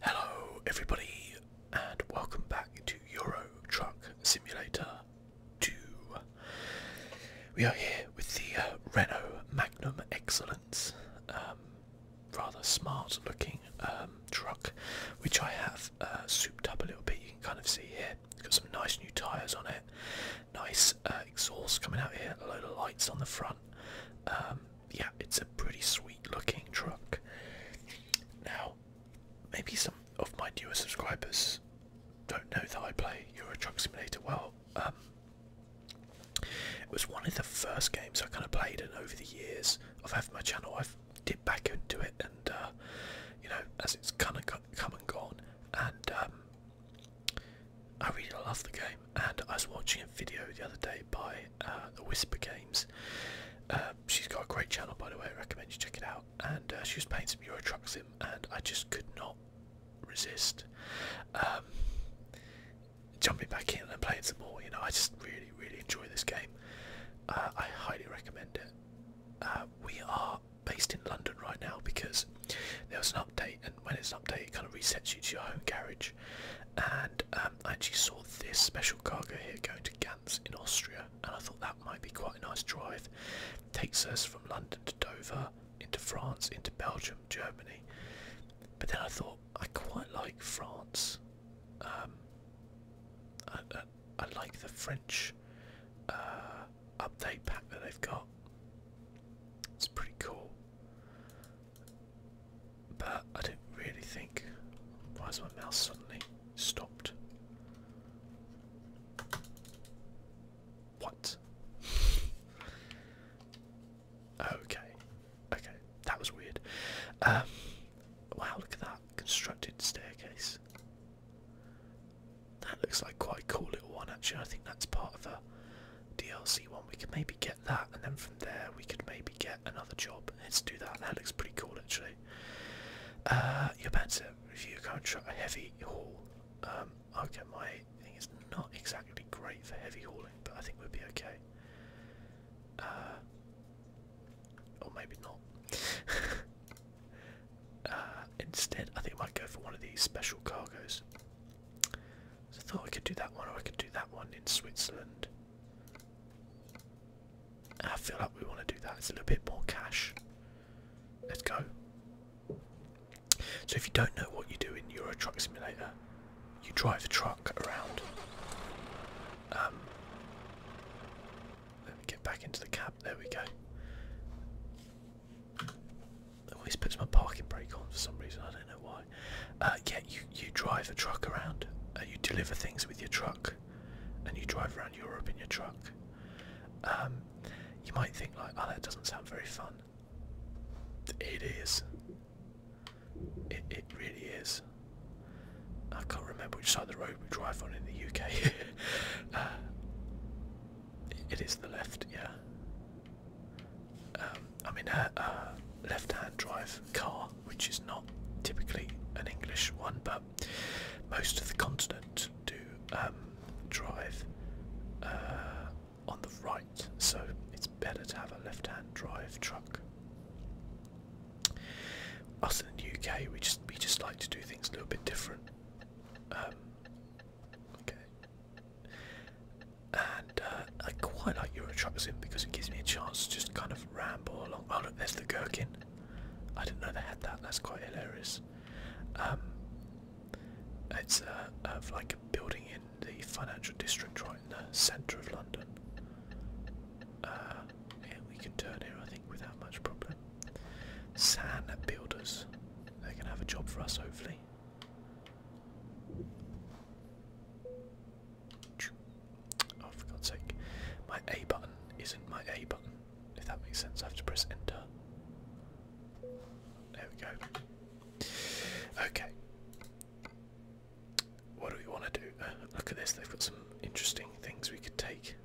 Hello, everybody, and welcome back to Euro Truck Simulator 2. We are here with the uh, Renault Magnum Excellence, um, rather smart looking um, truck, which I have uh, souped up a little bit. You can kind of see here, got some nice new tyres on it, nice uh, exhaust coming out here, a load of lights on the front. Um, yeah, it's a pretty sweet looking truck. Now, maybe some of my newer subscribers don't know that I play Euro Truck Simulator well. Um, it was one of the first games I kind of played, and over the years of having my channel, I've dipped back into it, and uh, you know, as it's kind of come and gone, and um, I really love the game, and I was watching a video the other day by uh, the Whisper Games. Uh, she's got a great channel, by the way. I recommend you check it out. And uh, she was playing some Euro Truck Sim, and I just could not resist um, jumping back in and playing some more. You know, I just really, really enjoy this game. I highly recommend it. we are based in London right now because there was an update, and when it's an update, it kind of resets you to your home garage and um, I actually saw this special cargo here going to Gans in Austria, and I thought that might be quite a nice drive. Takes us from London to Dover, into France, into Belgium, Germany. But then I thought I quite like France. Um, I, like the French uh, update pack that they've got. It's pretty cool. But I don't really think. Why has my mouse suddenly stopped? What? okay. Okay. That was weird. Um, wow, look at that. Constructed staircase. That looks like quite a cool little one, actually. I think that's part of a DLC one. We can maybe get that, and then from there we could maybe get another job. Let's do that. That looks pretty cool, actually. Uh, your pants you can't try a heavy haul. Um, I'll get my thing It's not exactly great for heavy hauling, but I think we'll be okay. Uh, or maybe not. Uh, instead, I think I might go for one of these special cargoes. I thought I could do that one or I could do that one in Switzerland. I feel like we want to do that. It's a little bit more cash. Let's go. So if you don't know what you do in Euro Truck Simulator, you drive the truck around. Um, let me get back into the cab. There we go. always puts my parking brake on for some reason. I don't know why. Uh, yeah, you you drive a truck around. Uh, you deliver things with your truck, and you drive around Europe in your truck. Um, you might think like, oh, that doesn't sound very fun. It is. It really is. I can't remember which side of the road we drive on in the UK. Uh, it is the left, yeah. Um, i mean a left-hand drive car, which is not typically an English one, but most of the continent do um, drive uh, on the right, so it's better to have a left-hand drive truck. Us in the UK, we just we just like to do things a little bit different. Um, okay and uh, I quite like Euro Truck because it gives me a chance to just kind of ramble along. Oh look, there's the gherkin. I didn't know they had that. That's quite hilarious. Um, it's uh, of like a building in the financial district right in the centre of London. Uh, yeah, we can turn here I think without much problem. San builders. they can have a job for us hopefully. Oh, for God's sake. My A button isn't my A button, if that makes sense. I have to press enter. There we go. Okay. What do we want to do? Uh, look at this, they've got some interesting things we could take.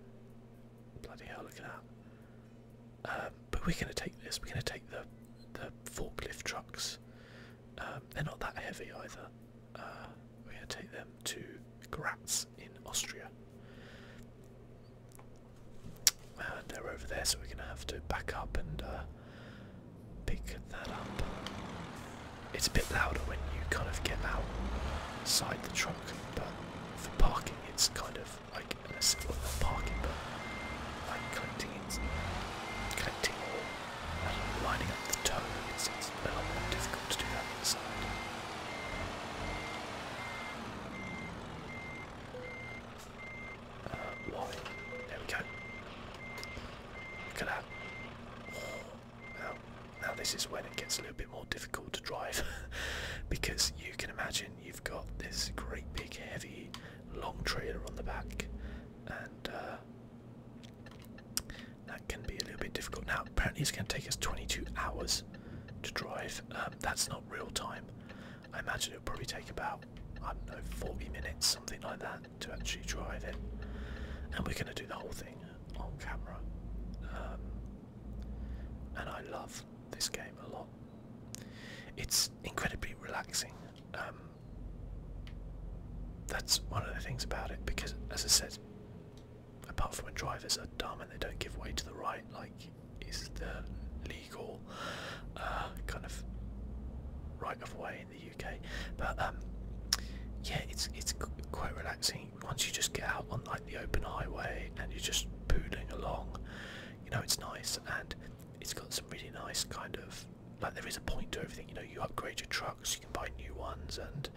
Bloody hell, look at that. Um, but we're going to take this, we're going to take the, the forklift trucks. Um, they're not that heavy either. Uh, we're going to take them to Graz in Austria. And they're over there, so we're going to have to back up and uh, pick that up. It's a bit louder when you kind of get outside the truck, but for parking it's kind of like, well, not parking, but like collecting, collecting lining up the toe, it's, a lot more difficult to do that uh, why? There we go. Look at that. Now, now this is when it gets a little bit more difficult to drive because you can imagine you've got this great big heavy long trailer on the back and uh, that can be a little bit difficult. Now, apparently it's going to take us 22 hours to drive. Um, that's not real time. I imagine it'll probably take about, I don't know, 40 minutes, something like that, to actually drive it. And we're going to do the whole thing on camera. Um, and I love this game a lot. It's incredibly relaxing. Um, that's one of the things about it because, as I said, apart from when drivers are dumb and they don't give way to the right, like is the legal uh, kind of right of way in the UK. But um, yeah, it's it's quite relaxing once you just get out on like the open highway and you're just poodling along. You know, it's nice and it's got some really nice kind of like there is a point to everything. You know, you upgrade your trucks, you can buy new ones, and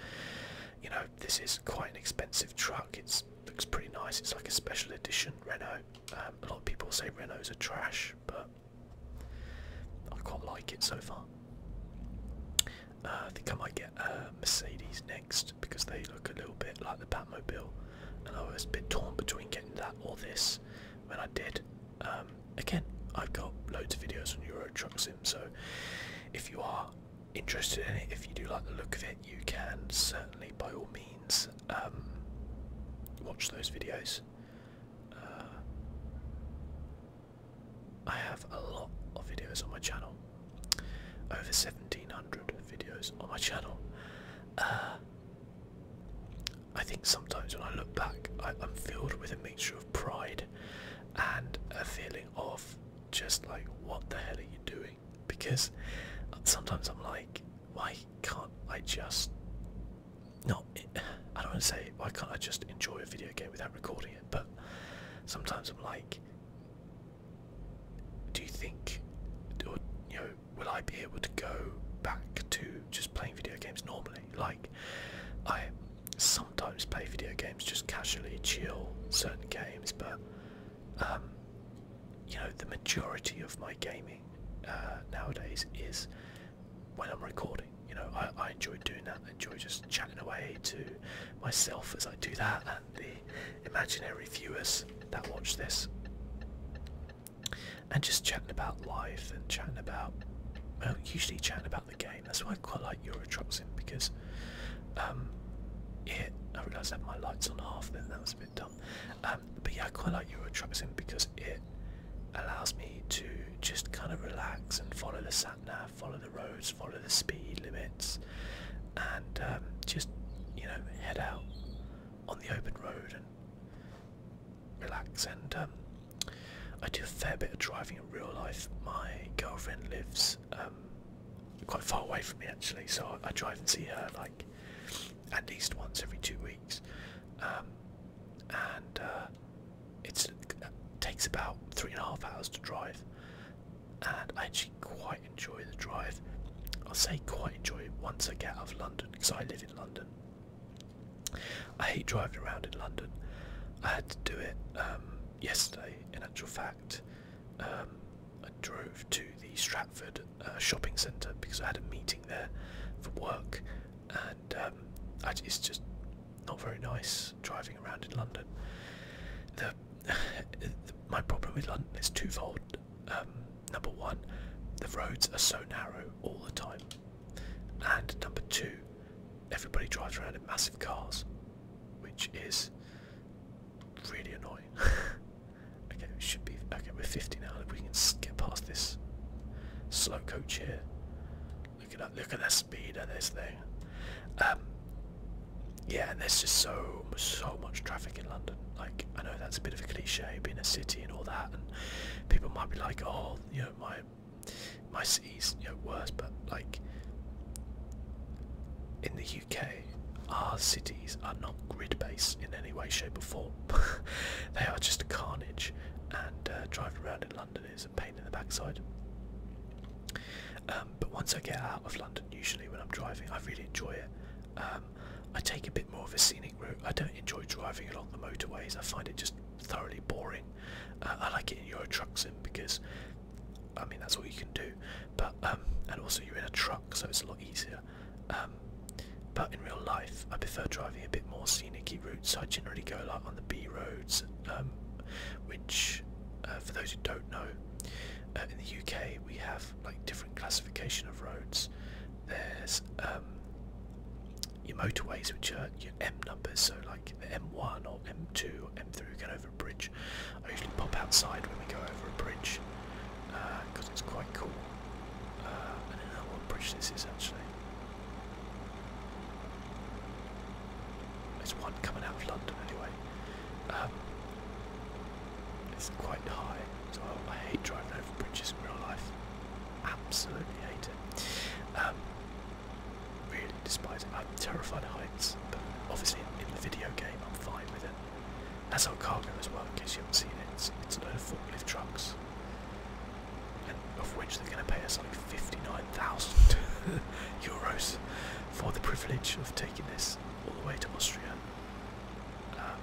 you know this is quite an expensive truck. It's looks pretty nice. It's like a special edition Renault. Um, a lot of people say Renaults are trash, but I quite like it so far. Uh, I think I might get a Mercedes next because they look a little bit like the Batmobile, and I was a bit torn between getting that or this. When I did, um, again, I've got loads of videos on Euro Truck Sim, so if you are interested in it, if you do like the look of it, you can certainly, by all means, um, watch those videos. Uh, I have a lot of videos on my channel, over 1700 videos on my channel. Uh, I think sometimes when I look back, I, am filled with a mixture of pride and a feeling of just like, what the hell are you doing? Because sometimes I'm like, why can't I just not? I don't want to say why can't I just enjoy a video game without recording it, but sometimes I'm like, do you think, or you know, will I be able to go back to just playing video games normally? Like, I sometimes play video games just casually, chill certain games, but um, you know the majority of my gaming uh, nowadays is when I'm recording. You know, I, I enjoy doing that. I enjoy just chatting away to myself as I do that and the imaginary viewers that watch this. And just chatting about life and chatting about, well, usually chatting about the game. That's why I quite like Euro Truck because um, it. I realised I had my lights on half then, that was a bit dumb. Um, but yeah, I quite like Euro because it allows me to just kind of relax and follow the sat nav, follow the roads, follow the speed limits, and um, just you know head out on the open road and relax and I do a fair bit of driving in real life. My girlfriend lives um, quite far away from me actually, so I, drive and see her like at least once every two weeks, um, and uh, it uh, takes about three and a half hours to drive. And I actually quite enjoy the drive. I'll say quite enjoy it once I get out of London because I live in London. I hate driving around in London. I had to do it um, yesterday, in actual fact. Um, I drove to the Stratford uh, shopping centre because I had a meeting there for work, and um, it's just not very nice driving around in London. my problem with London is twofold. number one, the roads are so narrow all the time. And number two, everybody drives around in massive cars, which is really annoying. okay, we should be okay. We're 50 now. we can get past this slow coach here, look at that. Look at that speed of this thing. Um, yeah, and there's just so so much traffic in London. Like I know that's a bit of a cliche, being a city and all that, and people might be like, oh, you know, my my city's you worse, but like in the UK, our cities are not grid-based in any way, shape, or form. they are just carnage, and uh, driving around in London is a pain in the backside. Um, but once I get out of London, usually when I'm driving, I really enjoy it. Um, I take a bit more of a scenic route. I don't enjoy driving along the motorways. I find it just thoroughly boring. Uh, I like it in Euro Truck Sim because, I mean, that's what you can do. But um, and also you're in a truck, so it's a lot easier. Um, but in real life, I prefer driving a bit more scenic routes. I generally go like on the B roads, um, which, uh, for those who don't know, uh, in the UK we have like different classification of roads. There's your motorways, which are your M numbers, so like M1 or M2 or M3, get over a bridge. I usually pop outside when we go over a bridge because uh, it's quite cool. Uh, I don't know what bridge this is actually. There's one coming out of London anyway. Um, it's quite high so I hate driving over bridges in real life. Absolutely hate it. Um, really despise it. I'm terrified of heights, but obviously in, the video game I'm fine with it. That's our cargo as well, in case you haven't seen it. It's, it's a load of forklift trucks, and of which they're going to pay us like 59,000 euros for the privilege of taking this all the way to Austria. Um,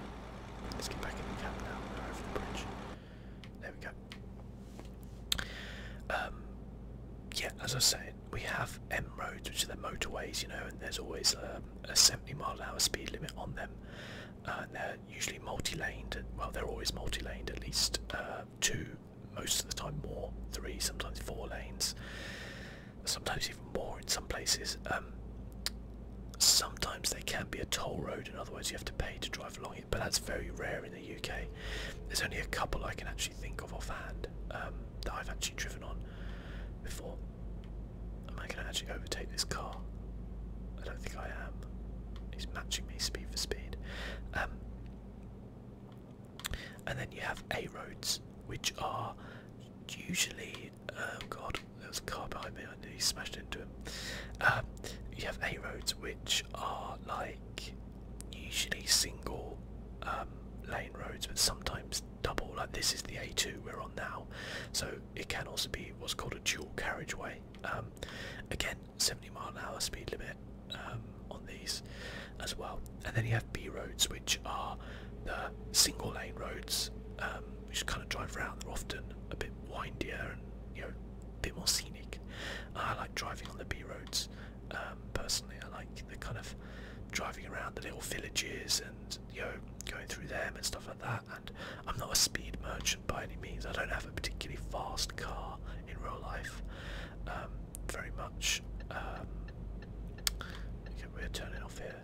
let's get back in the cab now, over the bridge. There we go. Um, yeah, as I said, we have M roads, which are the motorways, you know, and there's always um, a 70 mile an hour speed limit on them. Uh, and they're usually multi-laned. Well, they're always multi-laned, at least uh, two, most of the time more, three, sometimes four lanes, sometimes even more in some places. Um, sometimes they can be a toll road, and otherwise you have to pay to drive along it, but that's very rare in the UK. There's only a couple I can actually think of offhand um, that I've actually driven on before. Am I going to actually overtake this car? I don't think I am. He's matching me speed for speed. Um, and then you have A roads, which are usually. Oh god, there was a car behind me, I nearly smashed into him. Uh, you have A roads, which are like usually single um, lane roads, but sometimes double. Like this is the A2 we're on now, so it can also be what's called a dual carriageway. Um, again, 70 mile an hour speed limit um, on these as well. And then you have B roads, which are the single lane roads, um, which kind of drive around. They're often a bit windier and you know a bit more scenic. I like driving on the B roads. Um, personally, I like the kind of driving around the little villages and you know going through them and stuff like that. And I'm not a speed merchant by any means. I don't have a particularly fast car in real life. Um, very much. Um, okay, we're turning off here.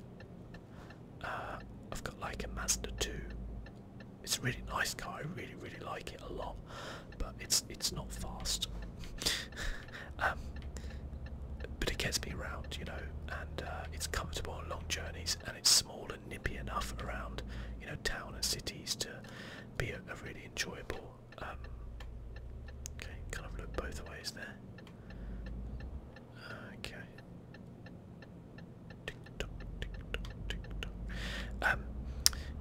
Uh, I've got like a Mazda 2. It's a really nice car. I really, really like it a lot but it's it's not fast. um, but it gets me around, you know, and uh, it's comfortable on long journeys, and it's small and nippy enough around, you know, town and cities to be a, really enjoyable. Um, okay, kind of look both ways there. Okay. Um,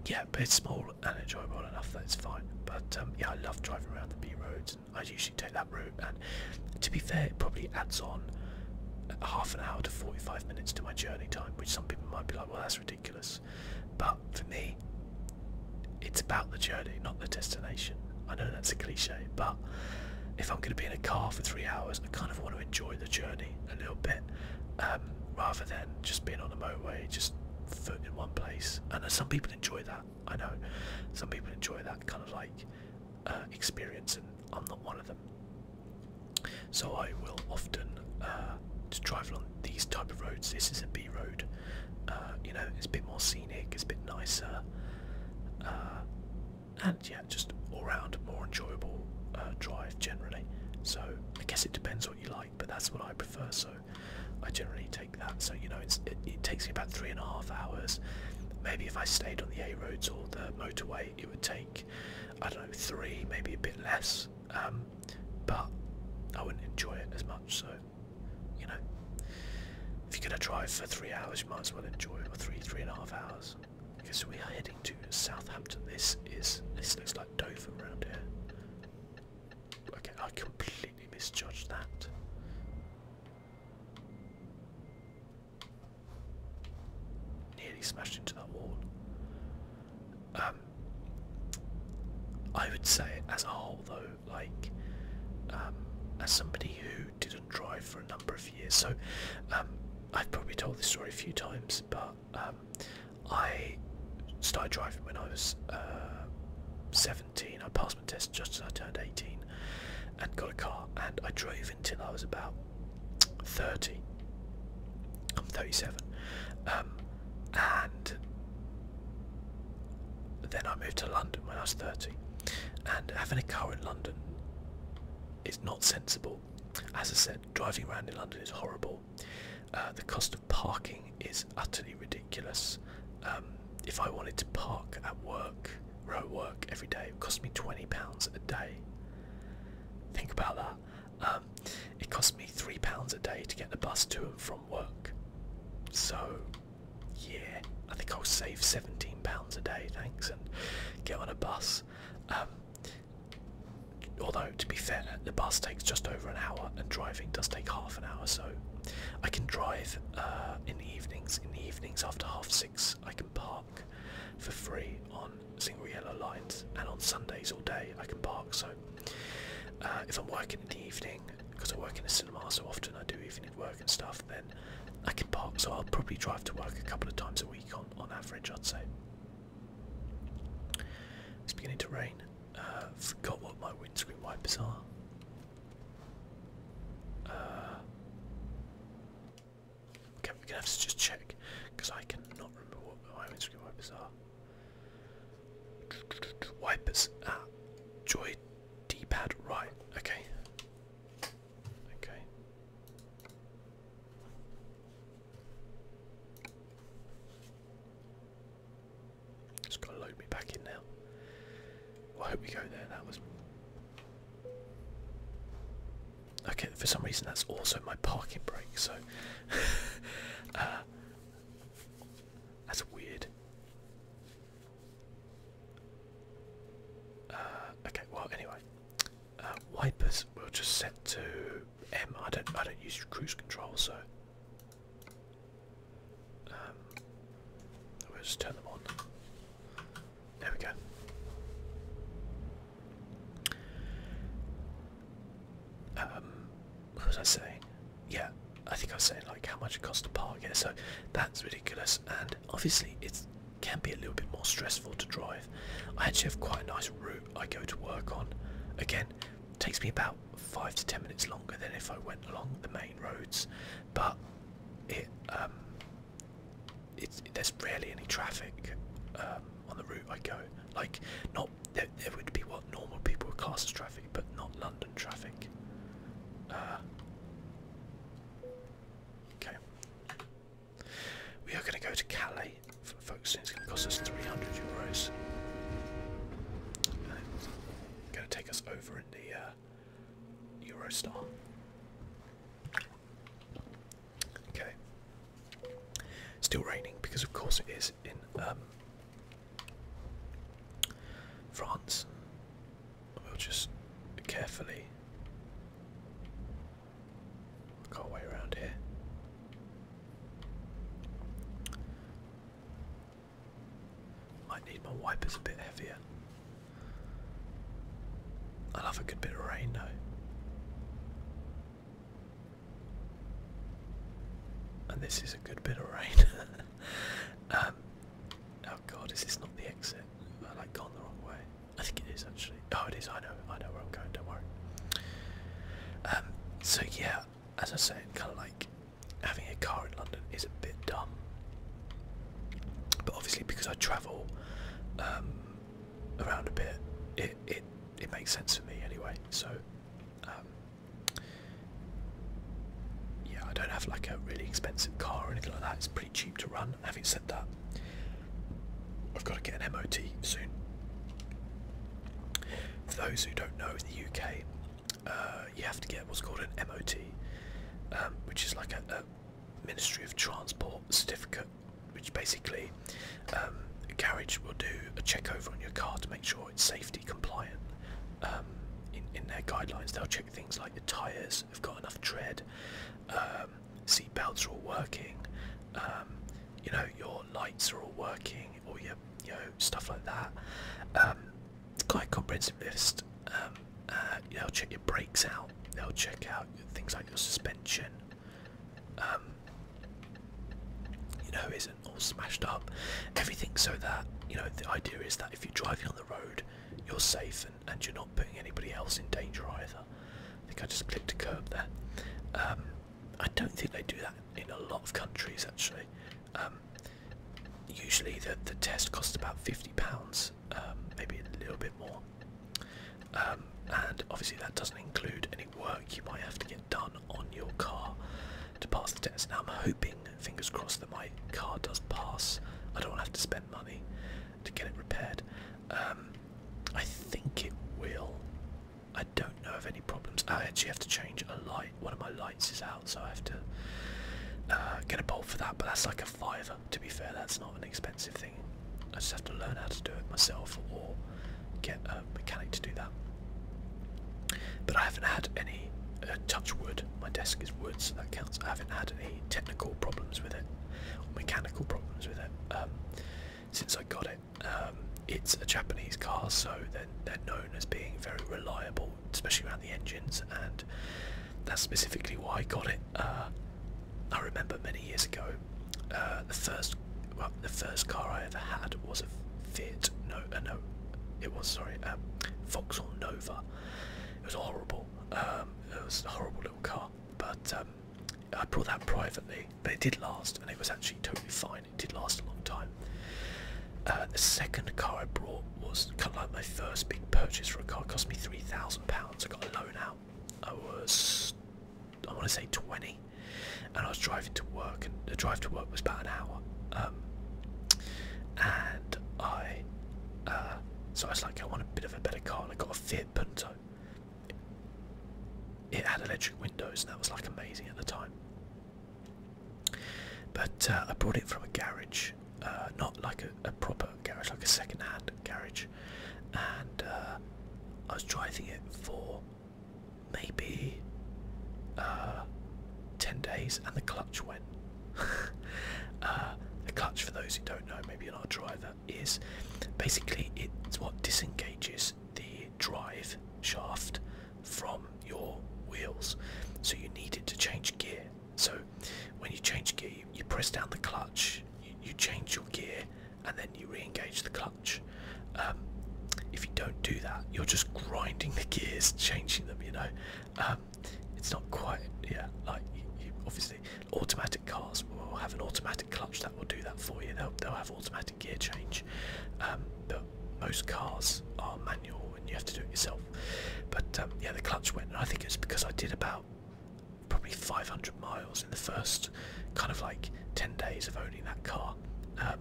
yeah, but it's small enjoyable enough that it's fine. But um, yeah, I love driving around the B roads. And I usually take that route, and to be fair, it probably adds on half an hour to 45 minutes to my journey time, which some people might be like, well, that's ridiculous. But for me, it's about the journey, not the destination. I know that's a cliche, but if I'm going to be in a car for three hours, I kind of want to enjoy the journey a little bit um, rather than just being on the motorway, just foot in one place. And some people enjoy that. I know some people enjoy that kind of like uh, experience, and I'm not one of them. So I will often uh, drive along these type of roads. This is a B road. Uh, you know, it's a bit more scenic. It's a bit nicer. Uh, and yeah, just all round more enjoyable drive generally. So I guess it depends what you like, but that's what I prefer. So I generally take that. So you know, it, takes me about three and a half hours. Maybe if I stayed on the A roads or the motorway, it would take I don't know three, maybe a bit less. Um, but I wouldn't enjoy it as much. So you know, if you're gonna drive for three hours, you might as well enjoy it for three, three and a half hours. Because we are heading to Southampton. This is this looks like Dover around here. Okay, I completely misjudged that. Nearly smashed into that wall. Um, I would say, as a whole, though, like, um, as somebody who didn't drive for a number of years, so um, I've probably told this story a few times, but um, um, I started driving when I was uh, 17. I passed my test just as I turned 18 and got a car and I drove until I was about 30. I'm 37. Um, and then I moved to London when I was 30. And having a car in London is not sensible. As I said, driving around in London is horrible. Uh, the cost of parking is utterly ridiculous. Um, if I wanted to park at work, where I work every day, it cost me twenty pounds a day. Think about that. Um, it cost me three pounds a day to get the bus to and from work. So, yeah, I think I'll save seventeen pounds a day, thanks, and get on a bus. Um, although to be fair, the bus takes just over an hour and driving does take half an hour, so I can drive uh, in the evenings. In the evenings after half six, I can park for free on single yellow lines, and on Sundays all day I can park. So uh, if I'm working in the evening, because I work in a cinema so often, I do evening work and stuff, then I can park. So I'll probably drive to work a couple of times a week on, on average, I'd say. It's beginning to rain. Uh, forgot what my windscreen wipers are. Uh, okay, we're gonna have to just check because I cannot remember what my windscreen wipers are. Wipers. Ah, joy D-pad. Right. Okay. Okay. Just gotta load me back in now. I hope we go there. That was. Okay, for some reason that's also my parking brake, so. Uh, that's weird. Uh, okay, well, anyway. Uh, wipers we'll just set to M. I don't, I don't use cruise control, so um, we oh, turn them on. There we go. Um, what was I saying? Yeah, I think I was saying like how much it costs to park here. So that's ridiculous, and obviously it can be a little bit more stressful to drive. I actually have quite a nice route I go to work on. Again, takes me about five to ten minutes longer than if I went along the main roads, but it um, there's rarely any traffic um, on the route I go. Like not there, would be what normal people would class as traffic, but not London traffic. Uh, okay, we are going to go to Calais, folks. It's going to cost us 300 euros. Gonna take us over in the uh, Eurostar. Okay. Still raining because of course it is in um, France. We'll just carefully work our way around here. Might need my wipers a bit heavier. I love a good bit of rain though. And this is a good bit of rain. Um, oh god, is this not the exit? Have I like gone the wrong way? I think it is actually. Oh, it is. I know. I know where I'm going. Don't worry. Um, so yeah, as I said, kind of like having a car in London is a bit dumb. But obviously, because I travel um, around a bit, it it it makes sense for me anyway. So um, yeah, I don't have like a really expensive car or anything like that. It's pretty cheap to run. Having said that, I've got to get an MOT soon. For those who don't know, in the UK, uh, you have to get what's called an MOT, um, which is like a, Ministry of Transport certificate, which basically um, a garage will do a check over on your car to make sure it's safety compliant. Um, in, in their guidelines, they'll check things like the tyres have got enough tread, seat belts are all working, you know your lights are all working, or your you know stuff like that. Um, it's quite comprehensive list. Um, uh, they'll check your brakes out. They'll check out things like your suspension. Um, you know, isn't all smashed up. Everything so that you know the idea is that if you're driving on the road, you're safe and, and you're not putting anybody else in danger either. I think I just clicked a curb there. I don't think they do that in a lot of countries actually. Um, usually the, the test costs about £50, um, maybe a little bit more. Um, and obviously that doesn't include any work you might have to get done on your car to pass the test. Now I'm hoping, fingers crossed, that my car does pass. I don't have to spend money to get it repaired. I think it will. I don't know of any problems. I actually have to change a light one of my lights is out, so I have to uh, get a bolt for that. But that's like a fiver. To be fair, that's not an expensive thing. I just have to learn how to do it myself or get a mechanic to do that. But I haven't had any uh, touch wood. My desk is wood, so that counts. I haven't had any technical problems with it or mechanical problems with it um, since I got it. Um, it's a Japanese car, so they're, they're known as being very reliable especially around the engines, and that's specifically why I got it. Uh, I remember many years ago, uh, the first well, the first car I ever had was a Fiat. No, uh, no, it was sorry, Fox um, Vauxhall Nova. It was horrible. Um, it was a horrible little car, but um, I brought that privately, but it did last, and it was actually totally fine it did last a long time. Uh, the second car I bought was kind of like my first big purchase for a car. It cost me three thousand pounds. I got a loan out. I was, I want to say twenty, and I was driving to work, and the drive to work was about an hour. Um, and I, uh, so I was like, I want a bit of a better car, I got a Fiat Punto. It had electric windows, and that was like amazing at the time. But uh, I bought it from a garage, uh, not like a, proper garage, like a second-hand garage, and uh, I was driving it for maybe ten days, and the clutch went. uh, the clutch, for those who don't know, maybe you're not a driver, is basically it's what disengages the drive shaft from your wheels. So you need it to change gear. So when you change gear, you, press down the clutch, you, change your gear, and then you re-engage the clutch. Um, if you don't do that, you're just grinding the gears, changing them. You know, um, it's not quite yeah. Like you, obviously, automatic cars will have an automatic clutch that will do that for you. They'll they'll have automatic gear change. Um, most cars are manual and you have to do it yourself. But um, yeah, the clutch went, and I think it's because I did about probably 500 miles in the first kind of like 10 days of owning that car. Um,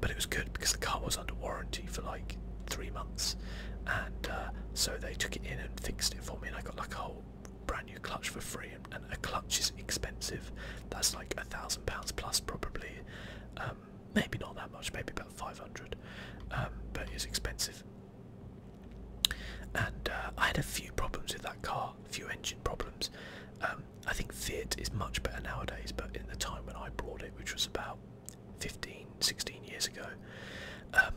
but it was good because the car was under warranty for like three months, and uh, so they took it in and fixed it for me, and I got like a whole brand new clutch for free. And, a clutch is expensive; that's like a thousand pounds plus probably. Um, maybe not that much, maybe about 500, um, but it's expensive. And uh, I had a few problems with that car, a few engine problems. Um, I think Fiat is much better nowadays, but in the time when I bought it, which was about 15, 16 years ago, um,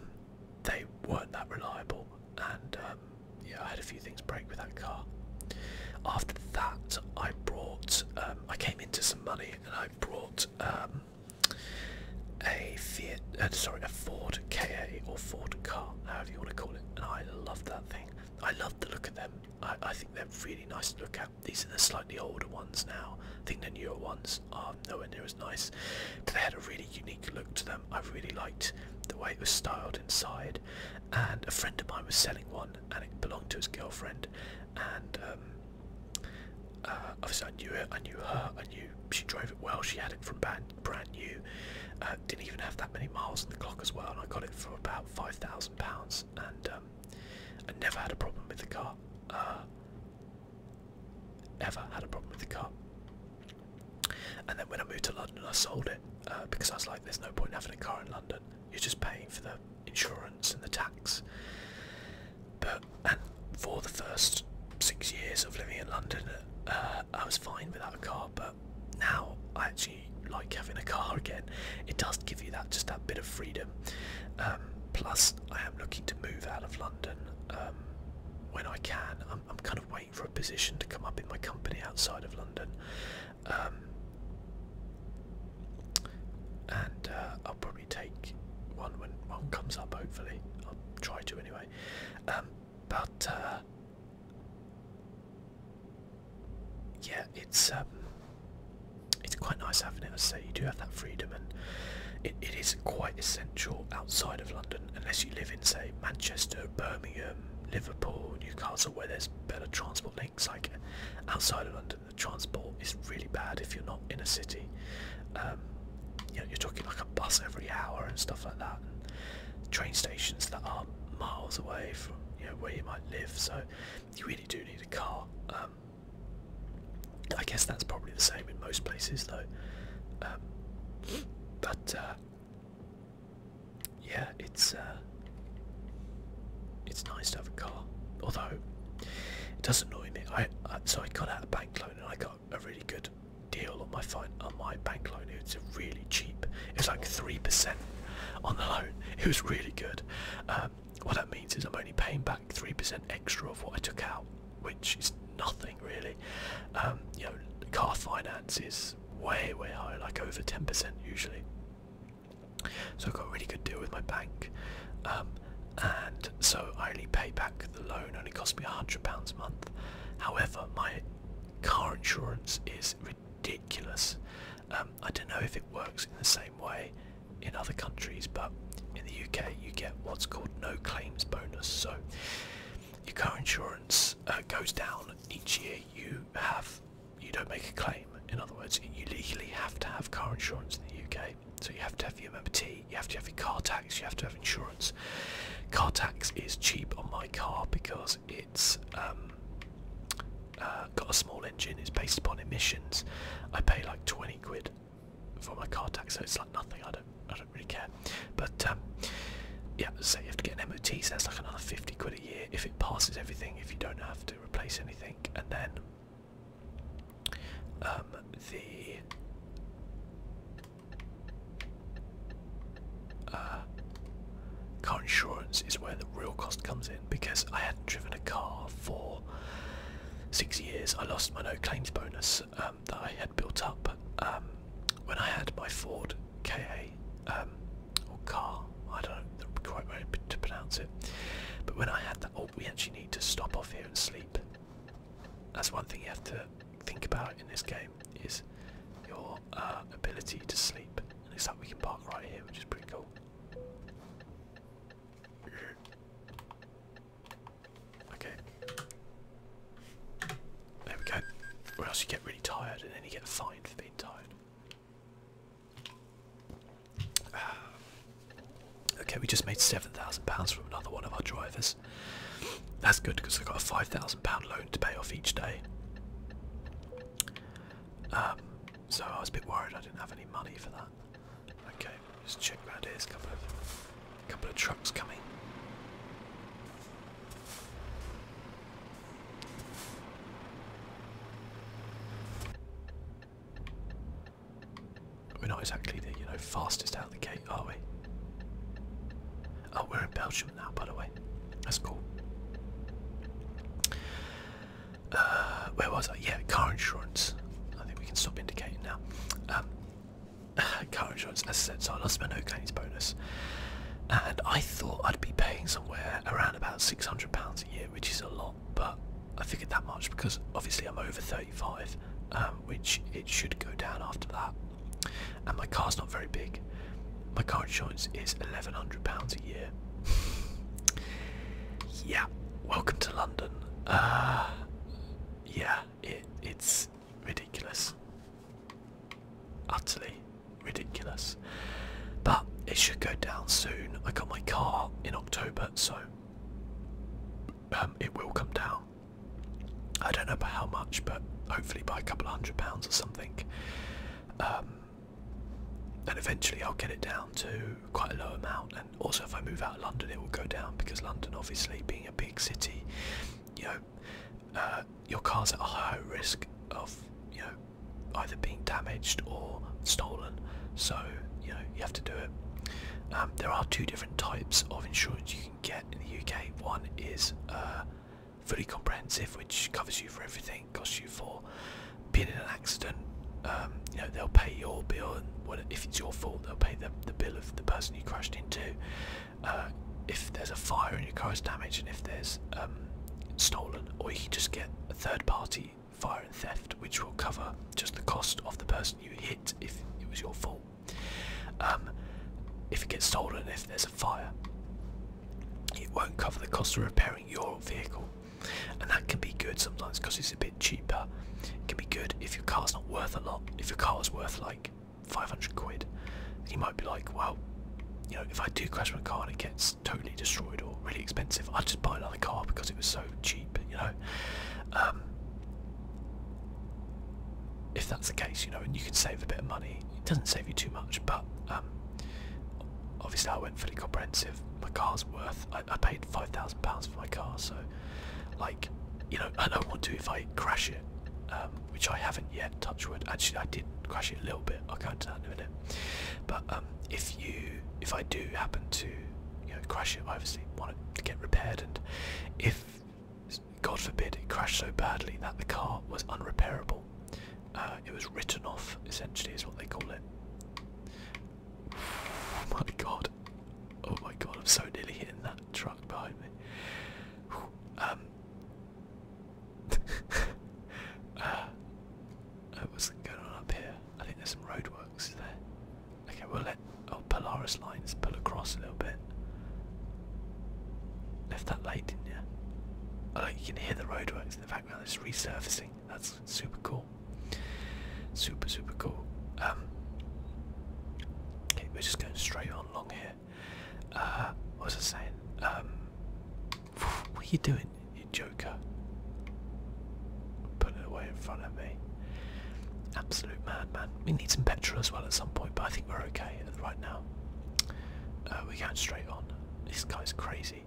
they weren't that reliable. And yeah, I had a few things break with that car. After that, I brought, I came into some money and I brought a Fiat, uh, sorry, a Ford Ka or Ford car, however you want to call it, and I love that thing. I love the look of them. I, I think they're really nice to look at. These are the slightly older ones now. I think the newer ones are nowhere near as nice, but they had a really unique look to them. I really liked the way it was styled inside. And a friend of mine was selling one, and it belonged to his girlfriend. And um, uh, obviously, I knew it. I knew her. I knew she drove it well. She had it from brand, brand new. Uh, didn't even have that many miles on the clock as well. And I got it for about five thousand pounds. And um, I never had a problem with the car. Uh, ever had a problem with the car. And then when I moved to London, I sold it uh, because I was like, "There's no point in having a car in London. You're just paying for the insurance and the tax. But and for the first six years of living in London, uh, I was fine without a car. But now I actually like having a car again. It does give you that just that bit of freedom. Um, plus, I am looking to move out of London um, when I can. I'm, I'm kind of waiting for a position to come up in my company outside of London. Um, and uh, I'll probably take one when one comes up, hopefully. I'll try to anyway. Um, but, uh, yeah, it's um, it's quite nice having it. I say you do have that freedom, and it is quite essential outside of London, unless you live in say Manchester, Birmingham, Liverpool, Newcastle, where there's better transport links. Like outside of London, transport is really bad if you're not in a city. Um, you are talking like a bus every hour and stuff like that. train stations that are miles away from where you might live. So you really do need a car. Um, I guess that's probably the same in most places though. Um, but uh, yeah, it's uh, it's nice to have a car. Although it does annoy me. I, so I got out a bank loan and I got a really good deal on my fine on my bank loan. It's a really cheap. It was like three percent on the loan. It was really good. Um, what that means is I'm only paying back three percent extra of what I took out, which is nothing really. Um, you know, car finance is way way high, like over ten percent usually. So I got a really good deal with my bank. Um, and so I only pay back the loan. Only cost me a hundred pounds a month. However, my car insurance is ridiculous. Um, I don't know if it works in the same way in other countries, but in the UK you get what's called no claims bonus. So your car insurance uh, goes down each year. You have you don't make a claim. In other words, you legally have to have car insurance in the UK. So you have to have your MMT, you have to have your car tax, you have to have insurance. Car tax is cheap on my car because it's um, uh, got a small engine, it's based upon emissions. I pay like 20 quid for my car tax, so it's like nothing, I don't, I don't really care. But um, yeah, so you have to get an MOT, so that's like another 50 quid a year if it passes everything, if you don't have to replace anything. And then um, the uh, car insurance is where the real cost comes in because I hadn't driven a car for six years. I lost my no claims bonus um, that I had built up um, when I had my Ford KA um, or car. I don't know quite way to pronounce it. But when I had that, oh, we actually need to stop off here and sleep. That's one thing you have to think about in this game is your uh, ability to sleep. And it's like we can park right here, which is pretty cool. Okay. There we go. Or else you get really tired and then you get fined for being tired. Uh, okay, we just made £7,000 from another one of our drivers. That's good because I've got a £5,000 loan to pay off each day. Um, so I was a bit worried I didn't have any money for that. Okay, just check around here. There's a couple of, a couple of trucks coming. We're not exactly the you know fastest out of the gate, are we? Oh, we're in Belgium now, by the way. That's cool. Uh, where was I? Yeah, car insurance. I think we can stop indicating now. Um, car insurance, as I said, so I lost my no claims bonus. And I thought I'd be paying somewhere around about £600 a year, which is a lot but I figured that much because obviously I'm over 35, um, which it should go down after that. And my car's not very big. My car insurance is £1,100 a year. yeah, welcome to London. Uh, yeah, it's ridiculous. Utterly ridiculous. But it should go down soon. I got my car in October, so um, it will come down. I don't know by how much, but hopefully by a couple of hundred pounds or something. Um, and eventually I'll get it down to quite a low amount. And also, if I move out of London, it will go down because London, obviously, being a big city, you know, uh, your car's at a higher risk of, you know, either being damaged or stolen. So you know you have to do it. Um, there are two different types of insurance you can get in the UK. One is uh, fully comprehensive, which covers you for everything, costs you for being in an accident. Um, you know they'll pay your bill, if it's your fault, they'll pay the, bill of the person you crashed into. Uh, if there's a fire in your car is damaged, and if there's um, stolen, or you can just get a third-party fire and theft, which will cover just the cost of the person you hit if it was your fault. Um, if it gets stolen, if there's a fire, it won't cover the cost of repairing your vehicle, and that can be good sometimes because it's a bit cheaper. It can be good if your car's not worth a lot. If your car's worth like 500 quid, you might be like, well, you know, if I do crash my car and it gets totally destroyed or really expensive, I'll just buy another car because it was so cheap. You know, um, if that's the case, you know, and you can save a bit of money. It doesn't save you too much, but um, obviously I went fully comprehensive. My car's worth. I, I paid five thousand pounds for my car, so like, you know, I don't want to if I crash it, um, which I haven't yet. Touchwood. Actually, I did crash it a little bit. I'll go into that in a minute. But um, if you, if I do happen to crash it. obviously wanted to get repaired, and if God forbid it crashed so badly that the car was unrepairable, uh, it was written off. Essentially, is what they call it. Oh my God! Oh my God! I'm so nearly hitting that truck behind me. Um. Uh, uh, what's going on up here? I think there's some roadworks there. Okay, we'll let oh Polaris lines pull across a little bit. Left that late, didn't you? Oh, look, you can hear the roadworks in the background. It's resurfacing. That's super cool. Super, super cool. Um, okay, we're just going straight on long here. Uh, what was I saying? Um, what are you doing, you joker? Put it away in front of me. Absolute madman. We need some petrol as well at some point, but I think we're okay right now. Uh, we're going straight on. This guy's crazy.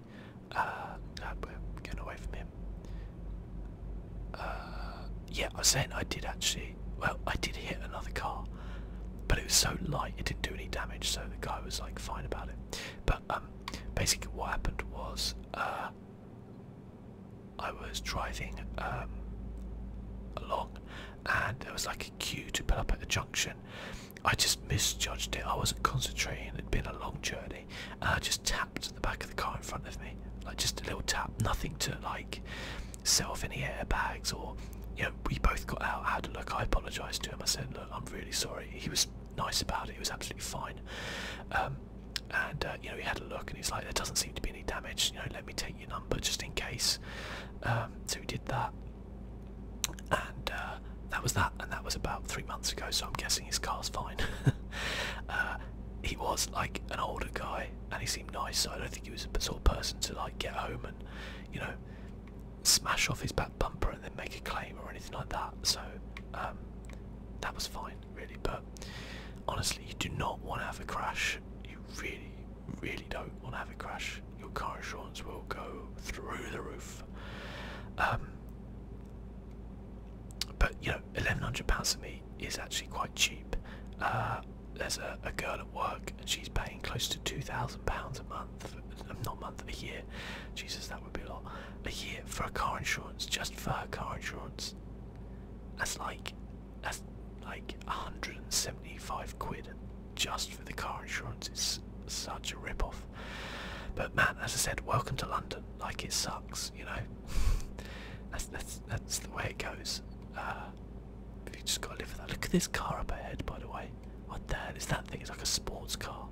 Uh, we're getting away from him. Uh, yeah, I was saying I did actually. Well, I did hit another car, but it was so light it didn't do any damage, so the guy was like fine about it. But um, basically, what happened was I was driving um, along and there was like a queue to pull up at the junction. I just misjudged it. I wasn't concentrating. It'd been a long journey. I just tapped the back of the car in front of me. Like just a little tap. Nothing to like set off any airbags or, you know, we both got out, had a look. I apologised to him. I said, look, I'm really sorry. He was nice about it. He was absolutely fine. Um, and uh, you know he had a look and he's like, there doesn't seem to be any damage. You know, let me take your number just in case. Um, so he did that, and uh, that was that. And that was about three months ago. So I'm guessing his car's fine. Uh, he was like an older guy, and he seemed nice. So I don't think he was a sort of person to like get home and you know smash off his back bumper and then make a claim or anything like that. So um, that was fine, really. But honestly you do not want to have a crash you really really don't want to have a crash your car insurance will go through the roof um, but you know 1100 pounds to me is actually quite cheap uh, there's a, girl at work and she's paying close to 2000 pounds a month um, not month a year jesus that would be a lot a year for a car insurance just for car insurance that's like that's like 175 quid just for the car insurance. It's such a rip-off. But man, as I said, welcome to London. Like it sucks, you know. that's that's the way it goes. Uh, you just gotta live with that. Look at this car up ahead, by the way. What the hell is that thing? It's like a sports car.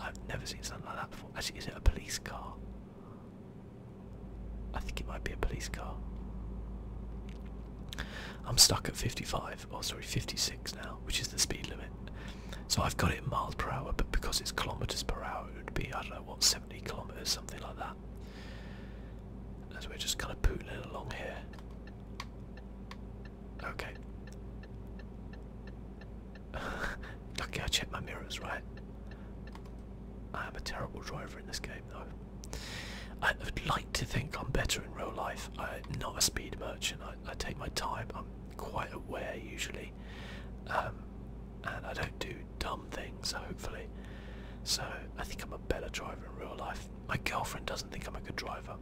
I've never seen something like that before. is it a police car? I think it might be a police car. I'm stuck at 55, oh sorry, 56 now, which is the speed limit. So I've got it miles per hour, but because it's kilometres per hour, it would be, I don't know, what, 70 kilometres, something like that. As we're just kind of pootling along here. Okay. Lucky I checked my mirrors, right? I am a terrible driver in this game though. I would like to think I'm better in real life. I'm not a speed merchant. I, take my time. I'm quite aware usually. Um, and I don't do dumb things, hopefully. So I think I'm a better driver in real life. My girlfriend doesn't think I'm a good driver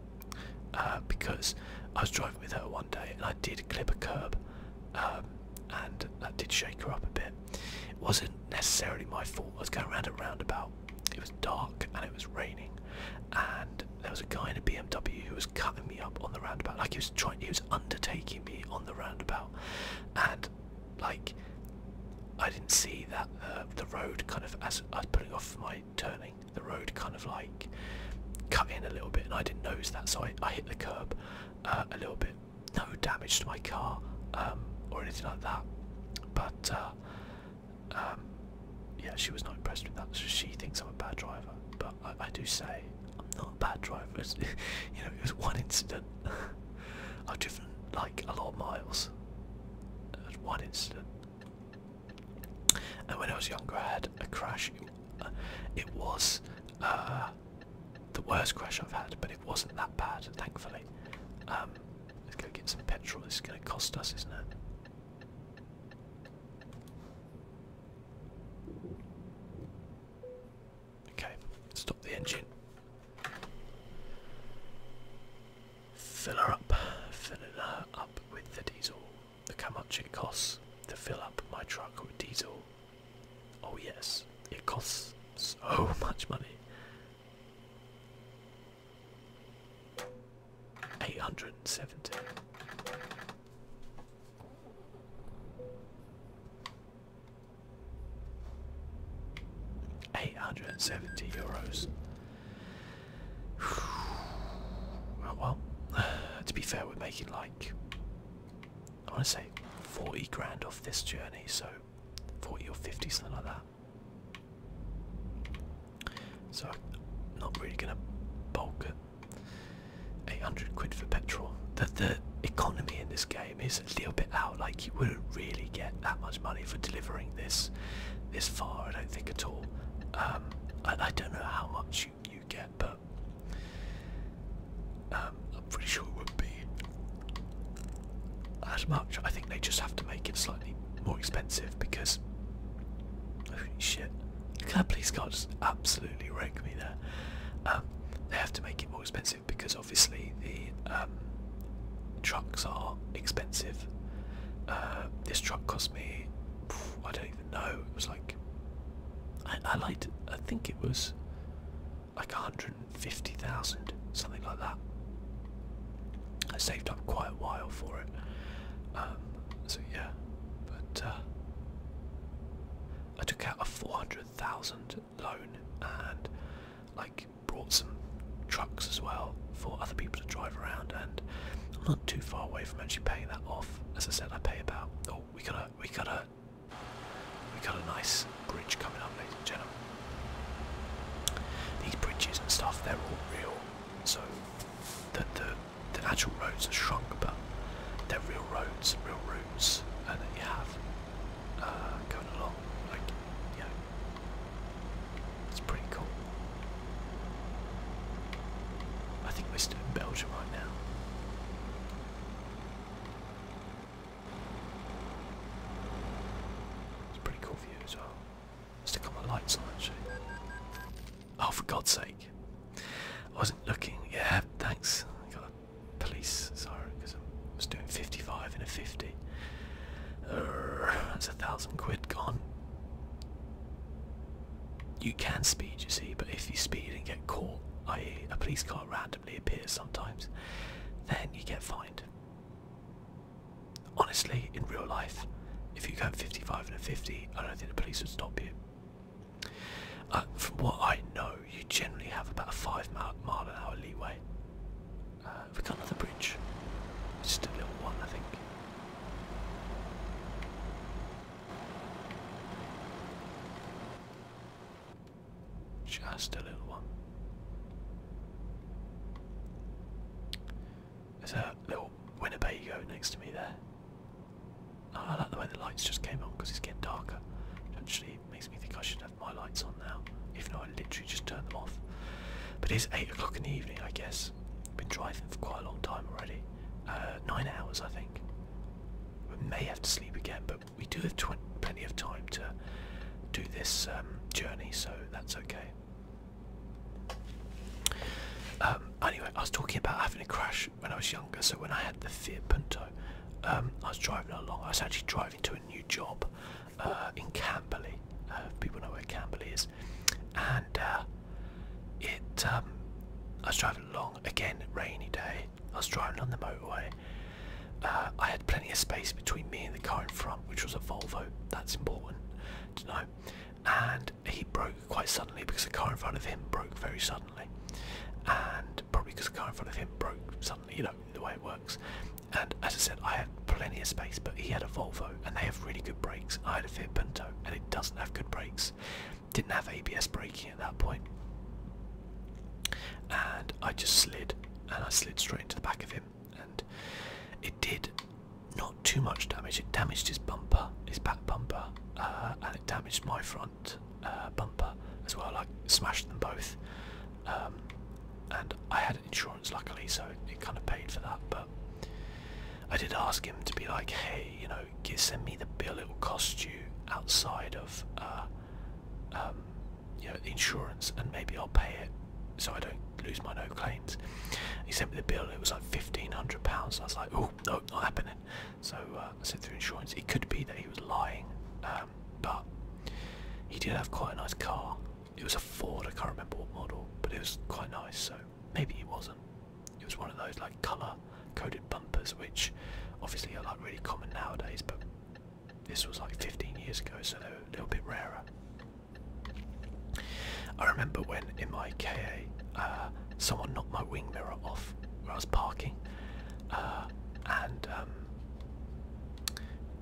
uh, because I was driving with her one day and I did clip a curb um, and that did shake her up a bit. It wasn't necessarily my fault. I was going around a roundabout. It was dark and it was raining, and there was a guy in a BMW who was cutting me up on the roundabout. Like he was trying, he was undertaking me on the roundabout, and like I didn't see that the road kind of as I was pulling off my turning, the road kind of like cut in a little bit, and I didn't notice that, so I, hit the curb uh, a little bit no damage to my car um, or anything like that. But uh, um, yeah, she was not impressed with that. she thinks I'm a bad driver. But I, do say I'm not a bad driver. you know, it was one incident. I've driven like a lot of miles. At one incident. And when I was younger, I had a crash. It, uh, was uh, the worst crash I've had, but it wasn't that bad, thankfully. let's um, go get some petrol. This is going to cost us, isn't it? Okay, stop the engine. Fill her up, fill her up with the diesel. Look how much it costs to fill up my truck with diesel. Oh, yes, it costs so much money. Eight hundred and seventy. Eight hundred and seventy euros. well, to be fair, we're making like I want to say forty grand off this journey, so 40 or 50, something like that. So I'm not really going to bulk it. 800 quid for petrol. The, the economy in this game is a little bit out. Like you wouldn't really get that much money for delivering this this far, I don't think at all. Um, I, don't know how much you, get, but... I'm pretty sure it wouldn't be as much. I think they just have to make it slightly more expensive because oh, shit, that police car just absolutely wrecked me there. Um, they have to make it more expensive because obviously the um, trucks are expensive. Uh, this truck cost me, I don't even know. It was like I, I liked. I think it was like 150,000, something like that. I saved up quite a while for it. Um, so yeah, but uh, I took out a 400,000 loan and like brought some trucks as well for other people to drive around and I'm not too far away from actually paying that off. As I said, I pay about, oh, we got a, we got a, we got a nice bridge coming up, ladies and gentlemen. These bridges and stuff, they're all real. So the, the, the actual roads are shrunk, but they're real roads, real routes and that you have uh, going along. Like, you know, it's pretty cool. I think we're still in Belgium right now. It's a pretty cool view as well. Stick on my lights actually. Oh, for God's sake. I wasn't looking. Yeah, thanks. got a police sorry, because I was doing 55 in a 50. that's a thousand quid gone. You can speed, you see, but if you speed and get caught, i.e., a police car randomly appears sometimes, then you get fined. Honestly, in real life, if you go 55 and a 50, I don't think the police would stop you. Uh, from what I know, you generally have about a five mile, mile an hour leeway. we have got another bridge? it's Just a little one, I think. Just a little one. There's a little Winnebago next to me there. I like the way the lights just came on because it's getting darker. It actually makes me think I should have my lights on now, If not, I literally just turned them off. But it's 8 o'clock in the evening, I guess. been driving for quite a long time already. Uh, 9 hours, I think. We may have to sleep again, but we do have plenty of time to do this um, journey, so that's okay. Um, anyway, I was talking about having a crash when I was younger, so when I had the Fiat Punto, um, I was driving along, I was actually driving to a new job uh, in Camberley, uh, people know where Camberley is, and uh, it, I was driving along, again, rainy day, I was driving on the motorway, uh, I had plenty of space between me and the car in front, which was a Volvo. That's important to know. And he broke quite suddenly because the car in front of him broke very suddenly. And probably because the car in front of him broke suddenly, you know, the way it works. And as I said, I had plenty of space, but he had a Volvo and they have really good brakes. I had a Fiat Punto and it doesn't have good brakes. Didn't have ABS braking at that point. And I just slid and I slid straight into the back of him it did not too much damage. It damaged his bumper, his back bumper, uh, and it damaged my front uh, bumper as well. Like smashed them both, um, and I had insurance luckily, so it, kind of paid for that. But I did ask him to be like, hey, you know, send me the bill. It will cost you outside of. Uh, um, you know, insurance and maybe I'll pay it so I don't lose my no claims. He sent me the bill, it was like £1,500. I was like, oh, no, not happening. So uh, I said through insurance. It could be that he was lying, um, but he did have quite a nice car. It was a Ford, I can't remember what model, but it was quite nice, so maybe he wasn't. It was one of those like colour coded bumpers, which obviously are like really common nowadays, but this was like 15 years ago, so they were a little bit rarer. I remember when in my KA uh, someone knocked my wing mirror off where I was parking, uh, and um,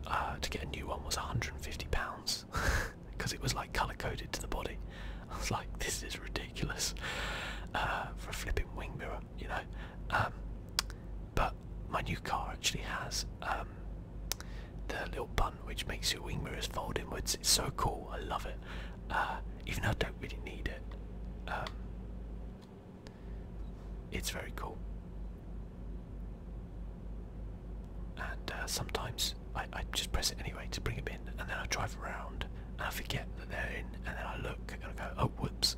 uh, to get a new one was 150 pounds because it was like color coded to the body. I was like, this is ridiculous for a flipping wing mirror, you know. Um, but my new car actually has um, the little button which makes your wing mirrors fold inwards. It's so cool. I love it. Uh, even though I don't really need it. Um, it's very cool. And uh, sometimes I, just press it anyway to bring it in, and then I drive around and I forget that they're in, and then I look and I go, oh whoops,